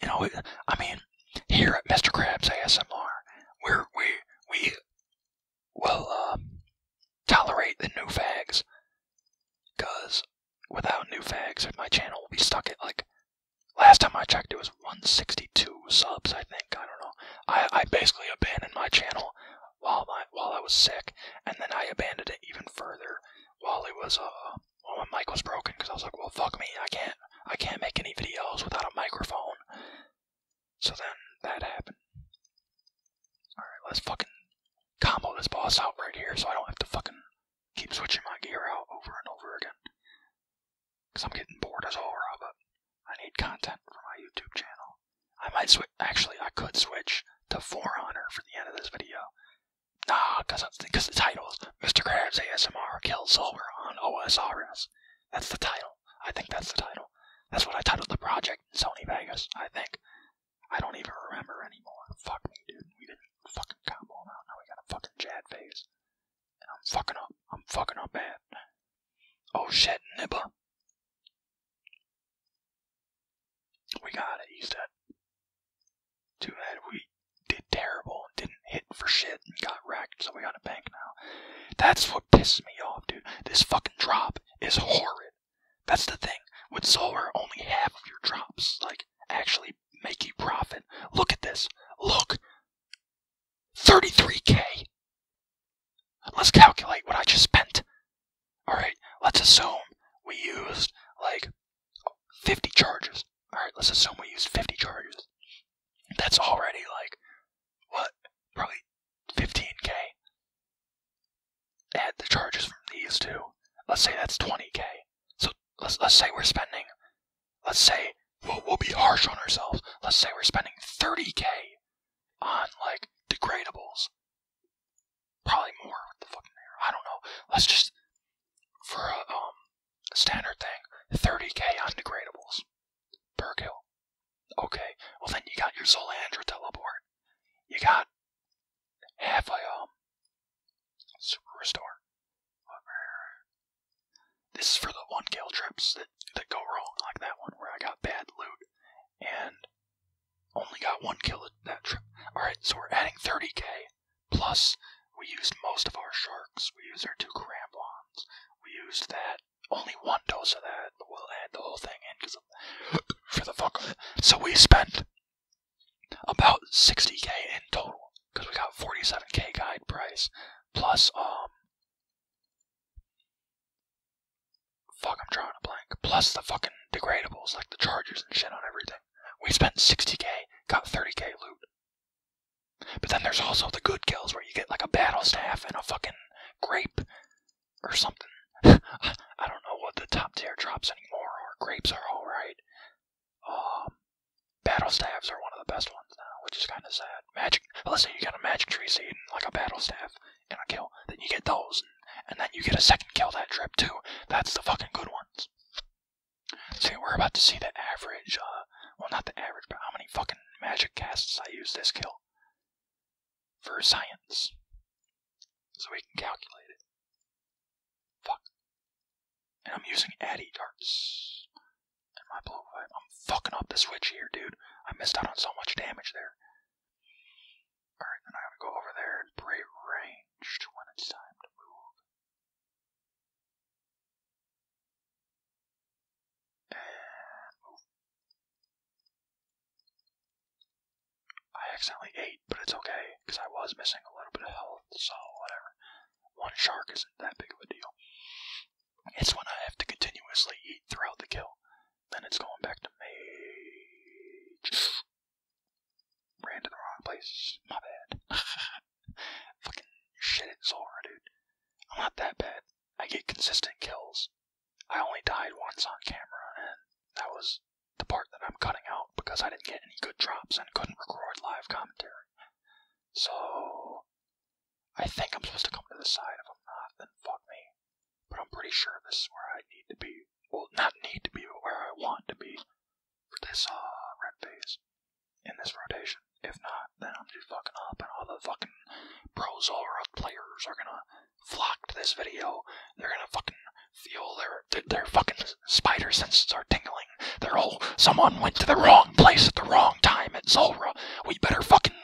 You know, I mean, here at Mr. Crab's ASMR, we we, we will um, tolerate the new fags. Because without new fags, my channel will be stuck at like Last time I checked, it was 162 subs, I think. I don't know. I, I basically abandoned my channel while while I was sick, and then I abandoned it even further while it was uh while my mic was broken because I was like, well fuck me, I can't I can't make any videos without a microphone. So then that happened. All right, let's fucking combo this boss out right here so I don't have to fucking keep switching my gear out over and over again. Cause I'm getting bored as hell. of I need content for my YouTube channel. I might switch. Actually, I could switch to For Honor for the end of this video. Nah, because because the title is Mr. Krabs ASMR Kills Silver on OSRS. That's the title. I think that's the title. That's what I titled the project Sony Vegas, I think. I don't even remember anymore. Fuck me, dude. We didn't fucking combo on out. Now we got a fucking Jad phase. I'm fucking up. I'm fucking up bad. Oh shit, Nibba. We got it," use that. Too bad we did terrible and didn't hit for shit and got wrecked, so we got a bank now. That's what pisses me off, dude. This fucking drop is horrid. That's the thing. With solar, only half of your drops, like, actually make you profit. Look at this. Look. 33k. Let's calculate what I just spent. Alright, let's assume we used like 50 charges. Alright, let's assume we used 50 charges. That's already like, what, probably 15k. Add the charges from these two. Let's say that's 20k. So let's, let's say we're spending, let's say, well, we'll be harsh on ourselves. Let's say we're spending 30k on like degradables. Probably more with the fucking I don't know. Let's just for a uh, um standard thing, 30k on degradables per kill. Okay. Well then you got your Zolandra teleport. You got half a um super restore. This is for the one kill trips that, that go wrong, like that one where I got bad loot and only got one kill at that trip. Alright, so we're adding 30k, plus we used most of our sharks. We used our two crampons. We used that, only one dose of that, we'll add the whole thing in because for the fuck of it. So we spent about 60k in total because we got 47k guide price plus um Fuck, I'm drawing a blank. Plus the fucking degradables, like the chargers and shit on everything. We spent 60k, got 30k loot. But then there's also the good kills where you get like a battle staff and a fucking grape or something. I don't know what the top tier drops anymore are. Grapes are alright. Um, battle staffs are one of the best ones now, which is kind of sad. Magic, let's you got a magic tree seed and like a battle staff. And a kill. Then you get those, and, then you get a second kill that trip too. That's the fucking good ones. See, we're about to see the average, uh, well not the average, but how many fucking magic casts I use this kill for science. So we can calculate it. Fuck. And I'm using Addy darts. And my blue I'm fucking up the switch here, dude. I missed out on so much damage there. Alright, then I'm to go over there and pray ranged when it's time to move. I accidentally ate, but it's okay, because I was missing a little bit of health, so whatever. One shark isn't that big of a deal. It's when I have to continuously eat throughout the kill then it's going back to mage. Ran to the wrong place. My bad. Fucking shit it so dude. I'm not that bad. I get consistent kills. I only died once on camera, and that was the part that I'm cutting out because I didn't get any good drops and couldn't record live commentary. So, I think I'm supposed to come to the side. If I'm then fuck me. But I'm pretty sure this is where I need to be. Well, not need to be, but where I want to be for this uh, red phase in this rotation. If not, then I'm just fucking up, and all the fucking pro Zolroth players are gonna flock to this video. They're gonna fucking feel their, their fucking spider senses are tingling. They're all someone went to the wrong place at the wrong time at Zolra. We better fucking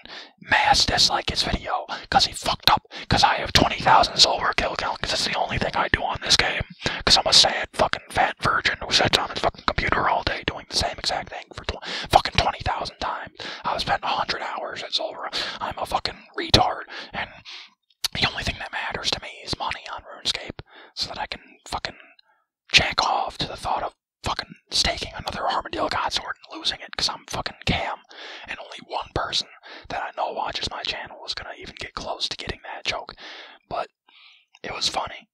mass dislike his video because he fucked up. Because I have 20,000 silver kill count because it's the only thing I do on this game. Because I'm a sad fucking fat virgin who sits on his fucking computer all day doing the same exact thing for tw fucking 20,000 times. I've spent 100 hours at silver. I'm a fucking retard. And the only thing that matters to me is money on RuneScape so that I can fucking jack off to the thought of fucking staking another Armadillo Godsword and losing it because I'm fucking cam and only one person that I know watches my channel is gonna even get close to getting that joke. But it was funny.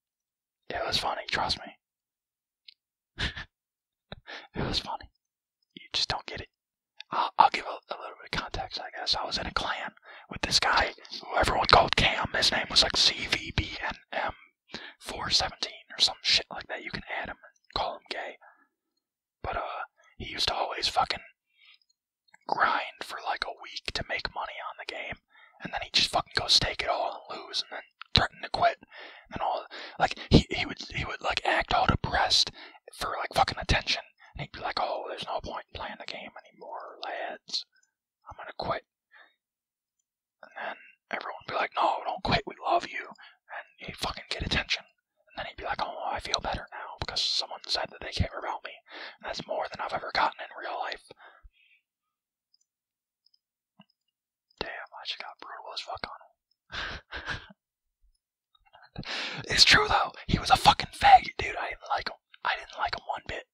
It was funny, trust me. it was funny. You just don't get it. I'll, give a, little bit of context, I guess. I was in a clan with this guy who everyone called Cam. His name was like CVBNM417 or some shit like that. You can add him call him gay. But uh, he used to always fucking grind for like a week to make money on the game, and then he just fucking go stake it all and lose, and then threaten to quit, and all. Like he he would he would like act all depressed for like fucking attention, and he'd be like, "Oh, there's no point playing the game anymore, lads. I'm gonna quit." And then everyone would be like, "No, don't quit. We love you," and he fucking get attention. And then he'd be like, oh, I feel better now because someone said that they care about me. And that's more than I've ever gotten in real life. Damn, I just got brutal as fuck on him. it's true though. He was a fucking fag, dude. I didn't like him. I didn't like him one bit.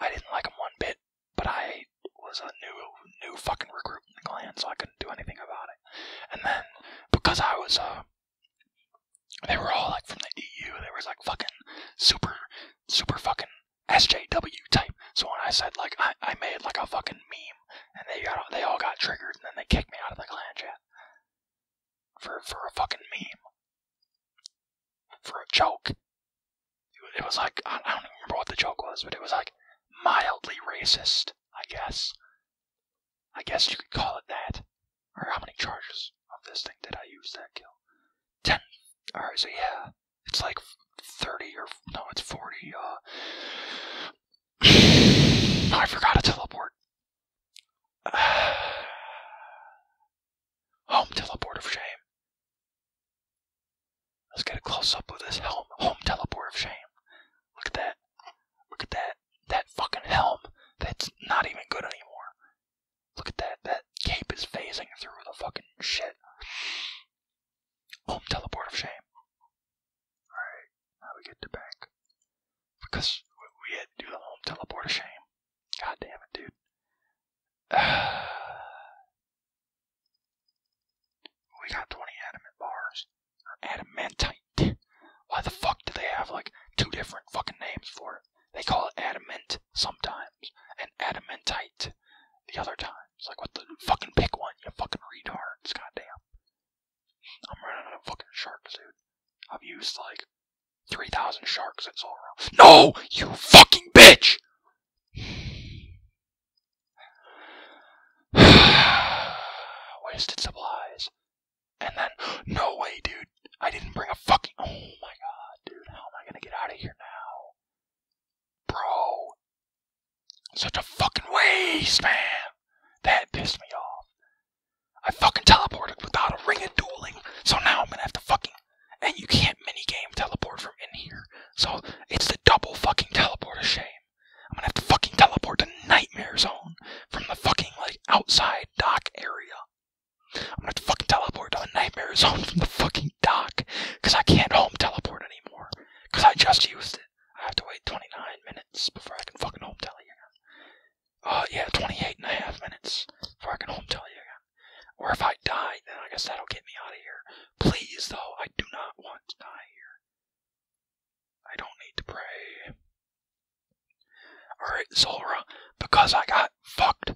I didn't like him one bit. But I was a new, new fucking recruit in the clan, so I couldn't do anything about it. And then because I was uh they were all like from the EU, They were like fucking super super fucking SJW type. So when I said like I, made like a fucking meme and they got they all got triggered and then they kicked me out of the clan chat. For for a fucking meme. For a joke. It was like I, I don't even remember what the joke was, but it was like mildly racist, I guess. I guess you could call it that. Or how many charges of this thing did I use that kill? Ten. Alright, so yeah, it's like 30 or no, it's 40. Uh, I forgot a teleport. home teleport of shame. Let's get a close up of this home teleport of shame. Look at that. Look at that. That fucking helm. That's not even good anymore. Look at that. That cape is phasing through the fucking shit. Home teleport of shame. Alright, now we get to back. Because we had to do the home teleport shame. God damn it, dude. we got 20 adamant bars or adamantite. Why the fuck do they have like two different fucking names for it? They call it adamant sometimes and adamantite the other time. It's Like what the fucking pick one, you fucking retard. retards, goddamn. I'm running out of fucking sharks, dude. I've used like 3,000 sharks at Zoro. No! You fucking bitch! Wasted supplies. And then, no way, dude. I didn't bring a fucking. Oh my god, dude. How am I gonna get out of here now? Bro. Such a fucking waste, man. That pissed me off. I fucking teleported without a ring of dueling. So now I'm gonna have to fucking. And you can't minigame teleport from in here. So it's the double fucking teleport of shame. I'm gonna have to fucking teleport to Nightmare Zone from the fucking, like, outside dock area. I'm gonna have to fucking teleport to the Nightmare Zone from the fucking dock. Because I can't home teleport anymore. Because I just used it. I have to wait 29 minutes before I can fucking home teleport again. Uh, yeah, 28 and a half minutes before I can home teleport again. Or if I die, then I guess that'll get me out of here. Please, though, I do not want to die here. I don't need to pray. Alright, Zora, because I got fucked.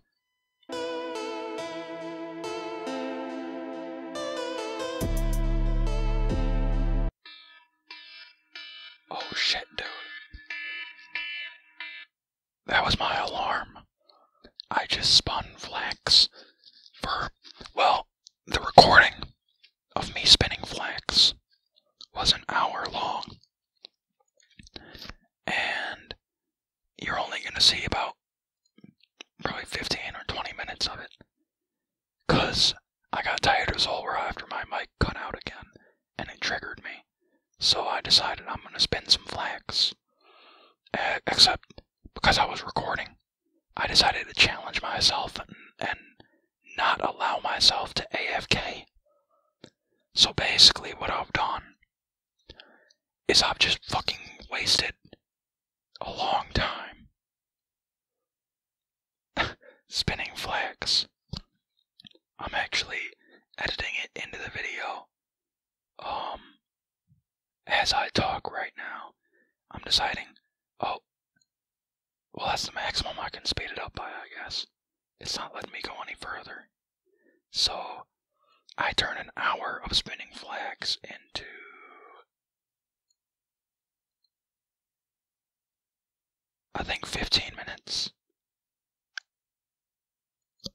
Oh shit, dude. That was my alarm. I just spun flax for, well, the recording of me spinning flax was an hour long. And you're only going to see about probably 15 or 20 minutes of it. Because I got tired as all after my mic cut out again and it triggered me. So I decided I'm going to spin some flax. except because I was recording, I decided to challenge myself and not allow myself to AFK. So basically, what I've done is I've just fucking wasted a long time spinning flags. I'm actually editing it into the video. Um, as I talk right now, I'm deciding, oh, well, that's the maximum I can speed it up by, I guess. It's not letting me go any further. So, I turn an hour of spinning flax into. I think 15 minutes.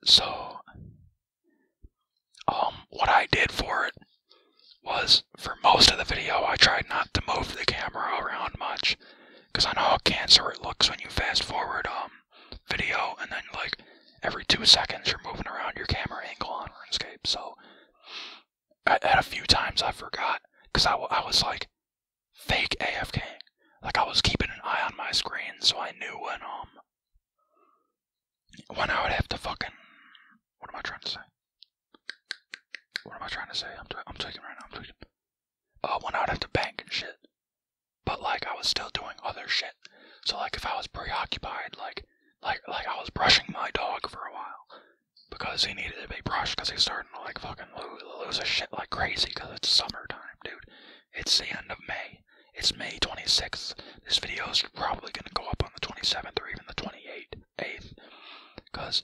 So, um, what I did for it was for most of the video I tried not to move the camera around much because I know how cancer it looks when you fast forward um video and then like every two seconds you're moving around your camera angle on RuneScape. So I had a few times I forgot because I, I was like fake AFK. Like I was keeping an eye on my screen so I knew when um when I would have to fucking what am I trying to say? What am I trying to say? I'm, i right now. I'm tweaking. Uh, when I would have to bank shit. But like, I was still doing other shit. So like, if I was preoccupied, like, like, like I was brushing my dog for a while because he needed to be brushed because he's starting to like fucking lose, lose his shit like crazy because it's summertime, dude. It's the end of May. It's May 26th. This video is probably gonna go up on the 27th or even the 28th, 8th, because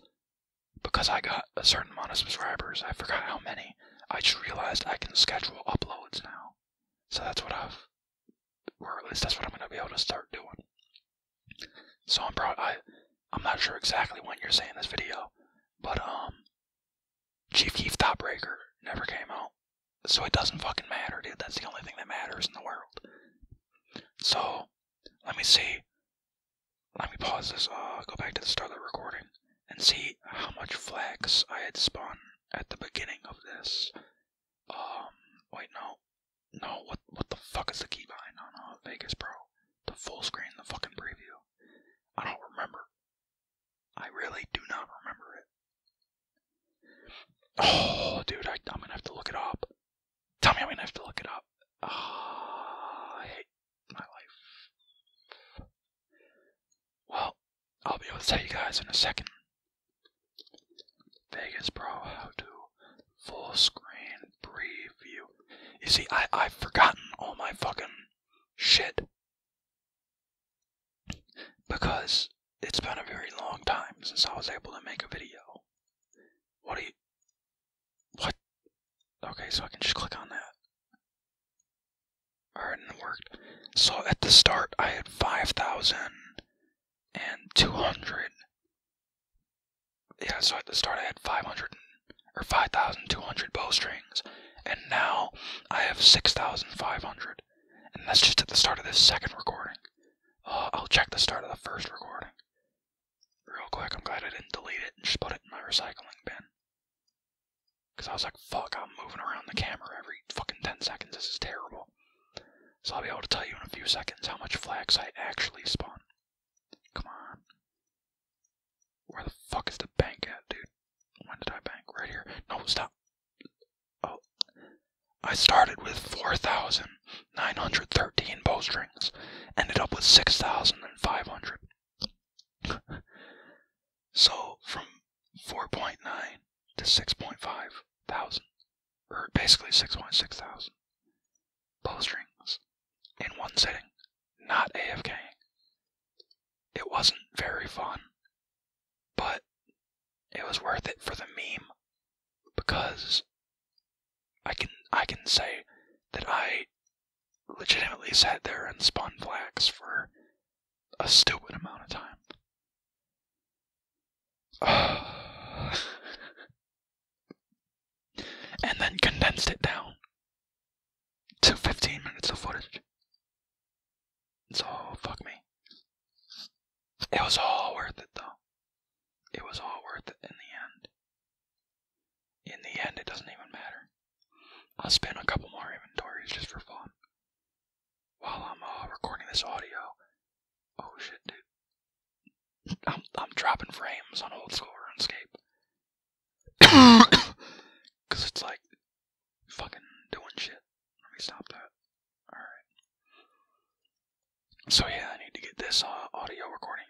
because I got a certain amount of subscribers, I forgot how many, I just realized I can schedule uploads now. So that's what I've, or at least that's what I'm going to be able to start doing. So I'm proud, I, I'm not sure exactly when you're seeing this video, but, um, Chief Keef Thought-Breaker never came out. So it doesn't fucking matter, dude. That's the only thing that matters in the world. So, let me see. Let me pause this, uh, go back to the start recording, and see how much flax I had spun at the beginning of this. Um, wait, no. No, what what the fuck is the key behind on uh, Vegas Pro? The full screen the fucking preview. I don't remember. I really do not remember it. Oh, dude, I, am gonna have to look it up. Tell me I'm gonna have to look it up. Ah, uh, my life. Well, I'll be able to tell you guys in a second. Vegas bro, how to full screen preview. You see, I, I've forgotten all my fucking shit. Because it's been a very long time since I was able to make a video. What do you what? Okay, so I can just click on that. Alright, and it worked. So at the start, I had 5,200. Yeah, so at the start, I had 500 or 5,200 bow strings, and now I have 6,500. And that's just at the start of this second recording. Uh, I'll check the start of the first recording real quick. I'm glad I didn't delete it and just put it in my recycling bin. Because I was like, fuck, I'm moving around the camera every fucking 10 seconds. This is terrible. So I'll be able to tell you in a few seconds how much flax I actually spawned. Come on. Where the fuck is the bank at, dude? When did I bank? Right here. No, stop. Oh. I started with 4,913 bowstrings. Ended up with 6,500. so from 4.9 to 6.5 thousand, or basically 6.6 thousand .6 thousand strings in one sitting, not AFK. It wasn't very fun, but it was worth it for the meme because I can I can say that I legitimately sat there and spun flax for a stupid amount of time. and then condensed it down to 15 minutes of footage. So, fuck me. It was all worth it, though. It was all worth it in the end. In the end, it doesn't even matter. I'll spin a couple more inventories just for fun. While I'm uh, recording this audio. Oh shit, dude. I'm, I'm dropping frames on old school RuneScape. Because it's like fucking doing shit. Let me stop that. Alright. So yeah, I need to get this uh, audio recording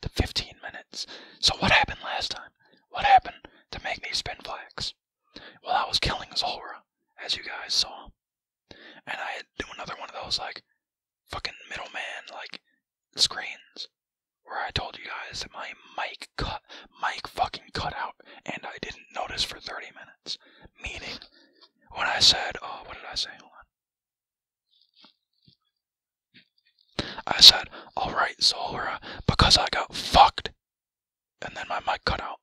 to 15 minutes. So, what happened last time? What happened to make me spin flags? Well, I was killing Zolra, as you guys saw. And I had do another one of those, like, fucking middleman, like, screens. Where I told you guys that my mic cut, mic fucking cut out, and I didn't notice for 30 minutes. Meaning, when I said, oh, what did I say? I said, Alright, Zora, because I got fucked. And then my mic cut out.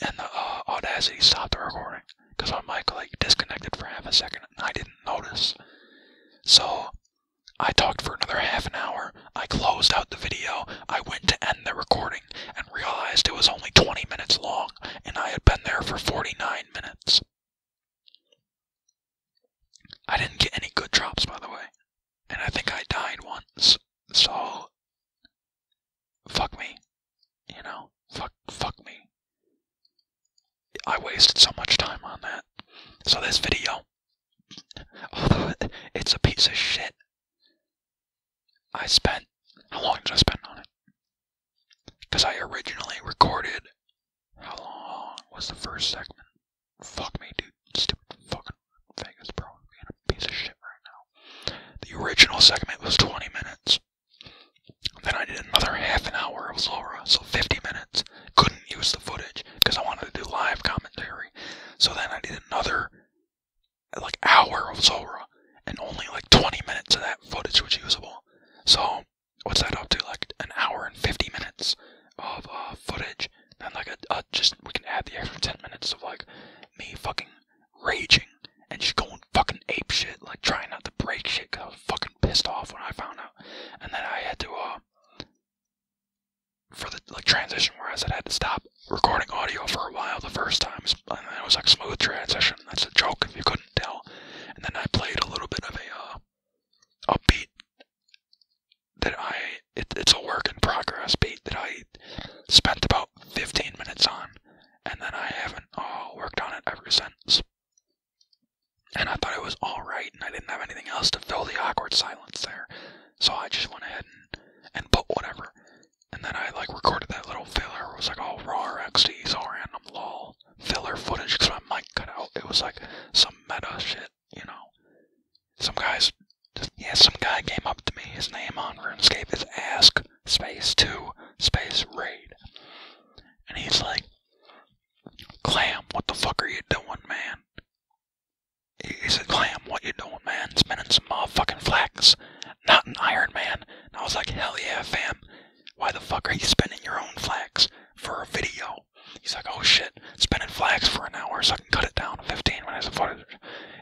And the uh, Audacity stopped the recording. Because my mic, like, disconnected for half a second and I didn't notice. So, I talked for another half an hour. I closed out the video. I went to end the recording and realized it was only 20 minutes long and I had been there for 49 minutes. I didn't get any good drops, by the way. And I think I died once, so fuck me. You know, fuck, fuck me. I wasted so much time on that. So this video, although it's a piece of shit, I spent, how long did I spend on it? Because I originally recorded how long was the first segment? Fuck me, dude. Stupid fucking Vegas, bro. being a piece of shit right now. The original segment was 20 minutes. Then I did another half an hour of Zora, so 50 minutes. Couldn't use the footage because I wanted to do live commentary. So then I did another like hour of Zora, and only like 20 minutes of that footage was usable. So what's that up to? Like an hour and 50 minutes of uh, footage. and like, a, uh, just we can add the extra 10 minutes of, like, me fucking raging and just going fucking ape shit, like, trying not to break shit because I was fucking pissed off when I found out. And then I had to, uh, for the, like, transition where I said I had to stop recording audio for a while the first time, and it was, like, smooth transition. That's a joke if you couldn't tell. And then I played a little bit of a, uh, upbeat that I it's a work in progress beat that I spent about 15 minutes on, and then I haven't all uh, worked on it ever since. And I thought it was all right, and I didn't have anything else to fill the awkward silence there, so I just went ahead and put whatever. And then I like recorded that little filler. It was like all raw XDs, so random lol filler footage because my mic cut out. It was like some meta shit you know, some guys, yeah, some guy came up to me, his name on RuneScape is Ask Space 2 Space Raid. And he's like, Clam, what the fuck are you doing, man? He said, Clam, what you doing, man? Spinning some motherfucking flax. Not an Iron Man. And I was like, hell yeah, fam. Why the fuck are you spinning your own flax for a video? He's like, oh shit, spinning flags for an hour so I can cut it down to 15 minutes of footage.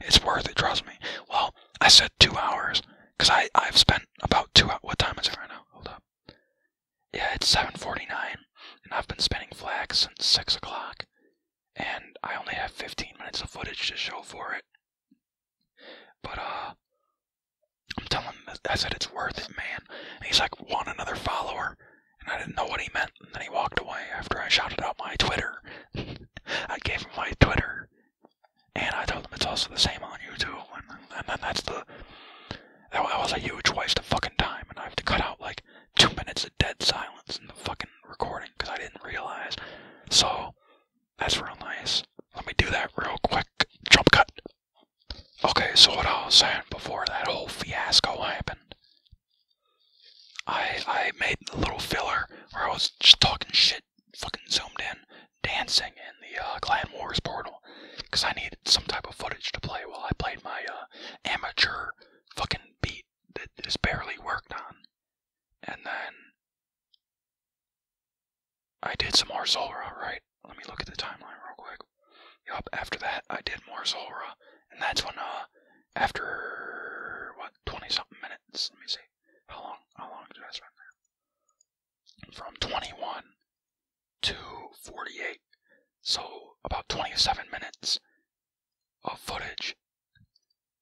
It's worth it, trust me. Well, I said two hours, because I've i spent about two hours. What time is it right now? Hold up. Yeah, it's 7.49, and I've been spinning flags since 6 o'clock, and I only have 15 minutes of footage to show for it. But, uh, I'm telling him, I said, it's worth it, man. And he's like, want another follower? and I didn't know what he meant. And then he walked away after I shouted out my Twitter. I gave him my Twitter, and I told him it's also the same on YouTube. And, then that's the that was a huge waste of fucking time, and I have to cut out like two minutes of dead silence in the fucking recording because I didn't realize. So that's real nice. Let me do that real quick. Jump cut. Okay, so what I was saying before that whole fiasco happened, I I made a little filler where I was just talking shit, fucking zoomed in, dancing in the uh, Clan Wars portal, because I needed some type of footage to play while I played my uh, amateur fucking beat that is barely worked on, and then I did some more Zora, right? let me look at the timeline real quick. Yup, after that, I did more Zora, and that's when, uh, after what, 20 something minutes? Let me see. How long? How long did I spend there? From 21 to 48, so about 27 minutes of footage.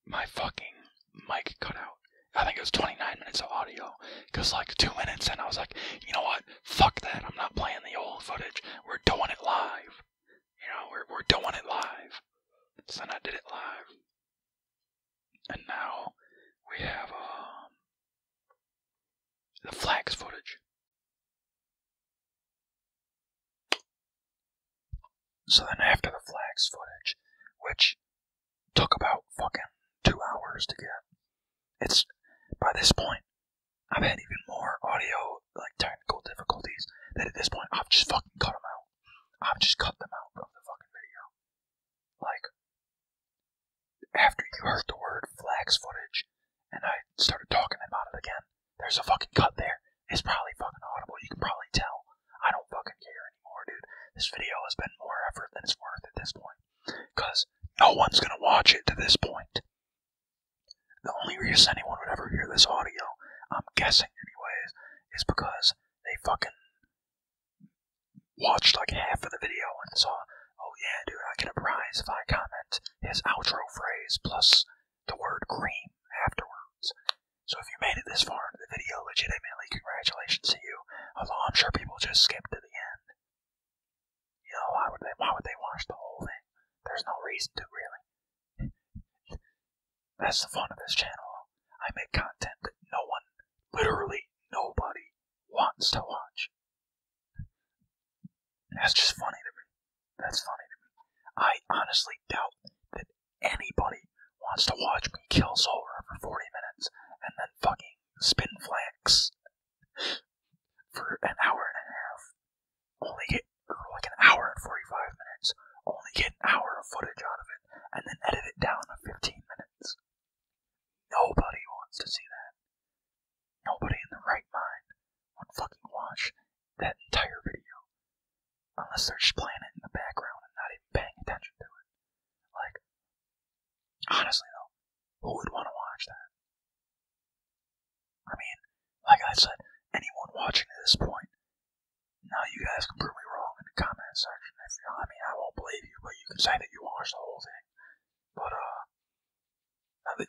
My fucking mic cut out. I think it was 29 minutes of audio, cause like two minutes, and I was like, you know what? Fuck that. I'm not playing the old footage. We're doing it live. You know, we're doing it live. So I did it live. And now we have um, the flags footage. So then after the flags footage, which took about fucking two hours to get, it's by this point I've had even more audio like technical difficulties that at this point I've just fucking cut them out. I've just cut them out from the fucking video. Like after you heard the word flax footage and I started talking about it again, there's a fucking cut there. It's probably fucking audible. You can probably tell. I don't fucking care anymore, dude. This video has been more effort than it's worth at this point. Cause no one's gonna watch it to this point. The only reason anyone would ever hear this audio, I'm guessing anyways, is because they fucking watched like half of the video and saw, oh yeah, dude, I get a prize if I comment his outro phrase plus the word cream afterwards. So if you made it this far into the video, legitimately congratulations to you, although I'm sure people just skipped to the end. You know, why would they why would they watch the whole thing? There's no reason to really. That's the fun of this channel. I make content that no one, literally nobody, wants to watch. That's just funny to me. That's funny I honestly doubt that anybody wants to watch me kill Solar for 40 minutes and then fucking spin flax for an hour and a half only get like an hour and 45 minutes, only get an hour of footage out of it, and then edit it down to 15 minutes. Nobody wants to see that. Nobody in their right mind would fucking watch that entire video. Unless they're just playing it in the background and not even paying attention to it. Like, honestly though, who would want to watch that? I mean, like I said, anyone watching at this point, now you guys can prove me wrong in the comment section. If you, I mean, I won't believe you, but you can say that you watched the whole thing. But uh,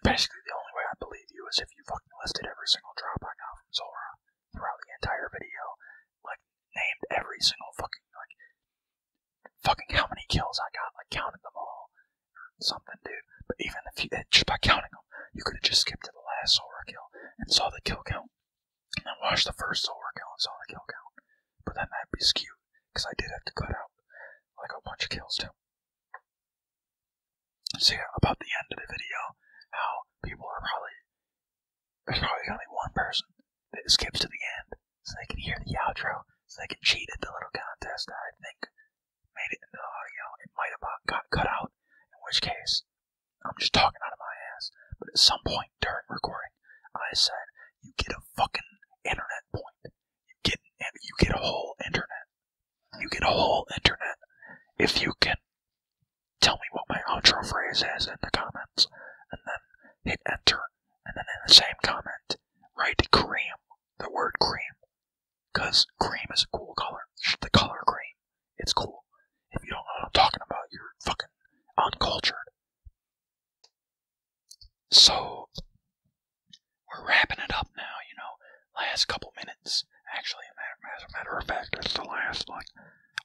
basically the only way I believe you is if you fucking listed every single drop I got from Zora throughout the entire video, like named every single fucking like fucking how many kills I got, like counted them all, something, dude. But even if you, eh, just by counting them, you could have just skipped to the last Sora kill and saw the kill count, and then watched the first Sora kill and saw the kill count. But then that'd be skewed because I did have to cut out like a bunch of kills too. See, about the end of the video, how people are probably there's probably only one person that skips to the end so they can hear the outro, so they can cheat at the little contest I think made it into audio. It might have uh, got cut out, in which case, I'm just talking out of my ass. But at some point during recording, I said, "You get a fucking internet point. You get you get a whole internet. You get a whole internet if you can tell me what my outro phrase is in the comments, and then hit enter, and then in the same comment, write cream, the word cream, because cream is a cool color. The color cream. It's cool. If you don't know what I'm talking about, you're fucking uncultured. So, we're wrapping it up now, you know. Last couple minutes, actually, as matter of fact, it's the last, like,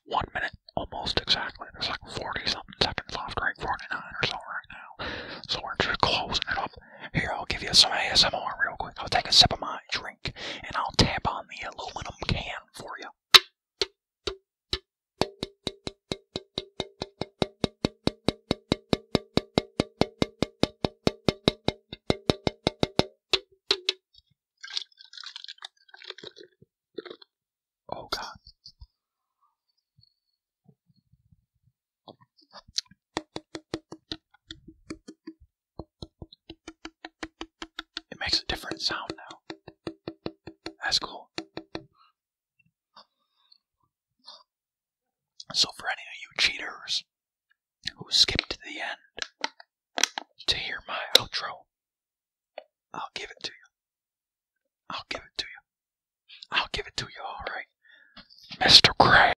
one minute almost exactly. There's like 40 something seconds left, right? 49 or so right now. So we're just closing it up here, I'll give you some ASMR real quick. I'll take a sip of my drink and I'll tap on the aluminum can for you. Oh, God. It makes a different sound now. That's cool. So, for any of you cheaters who skipped to the end to hear my outro, I'll give it to you. I'll give it to you. I'll give it to you, alright? Mr. Gray.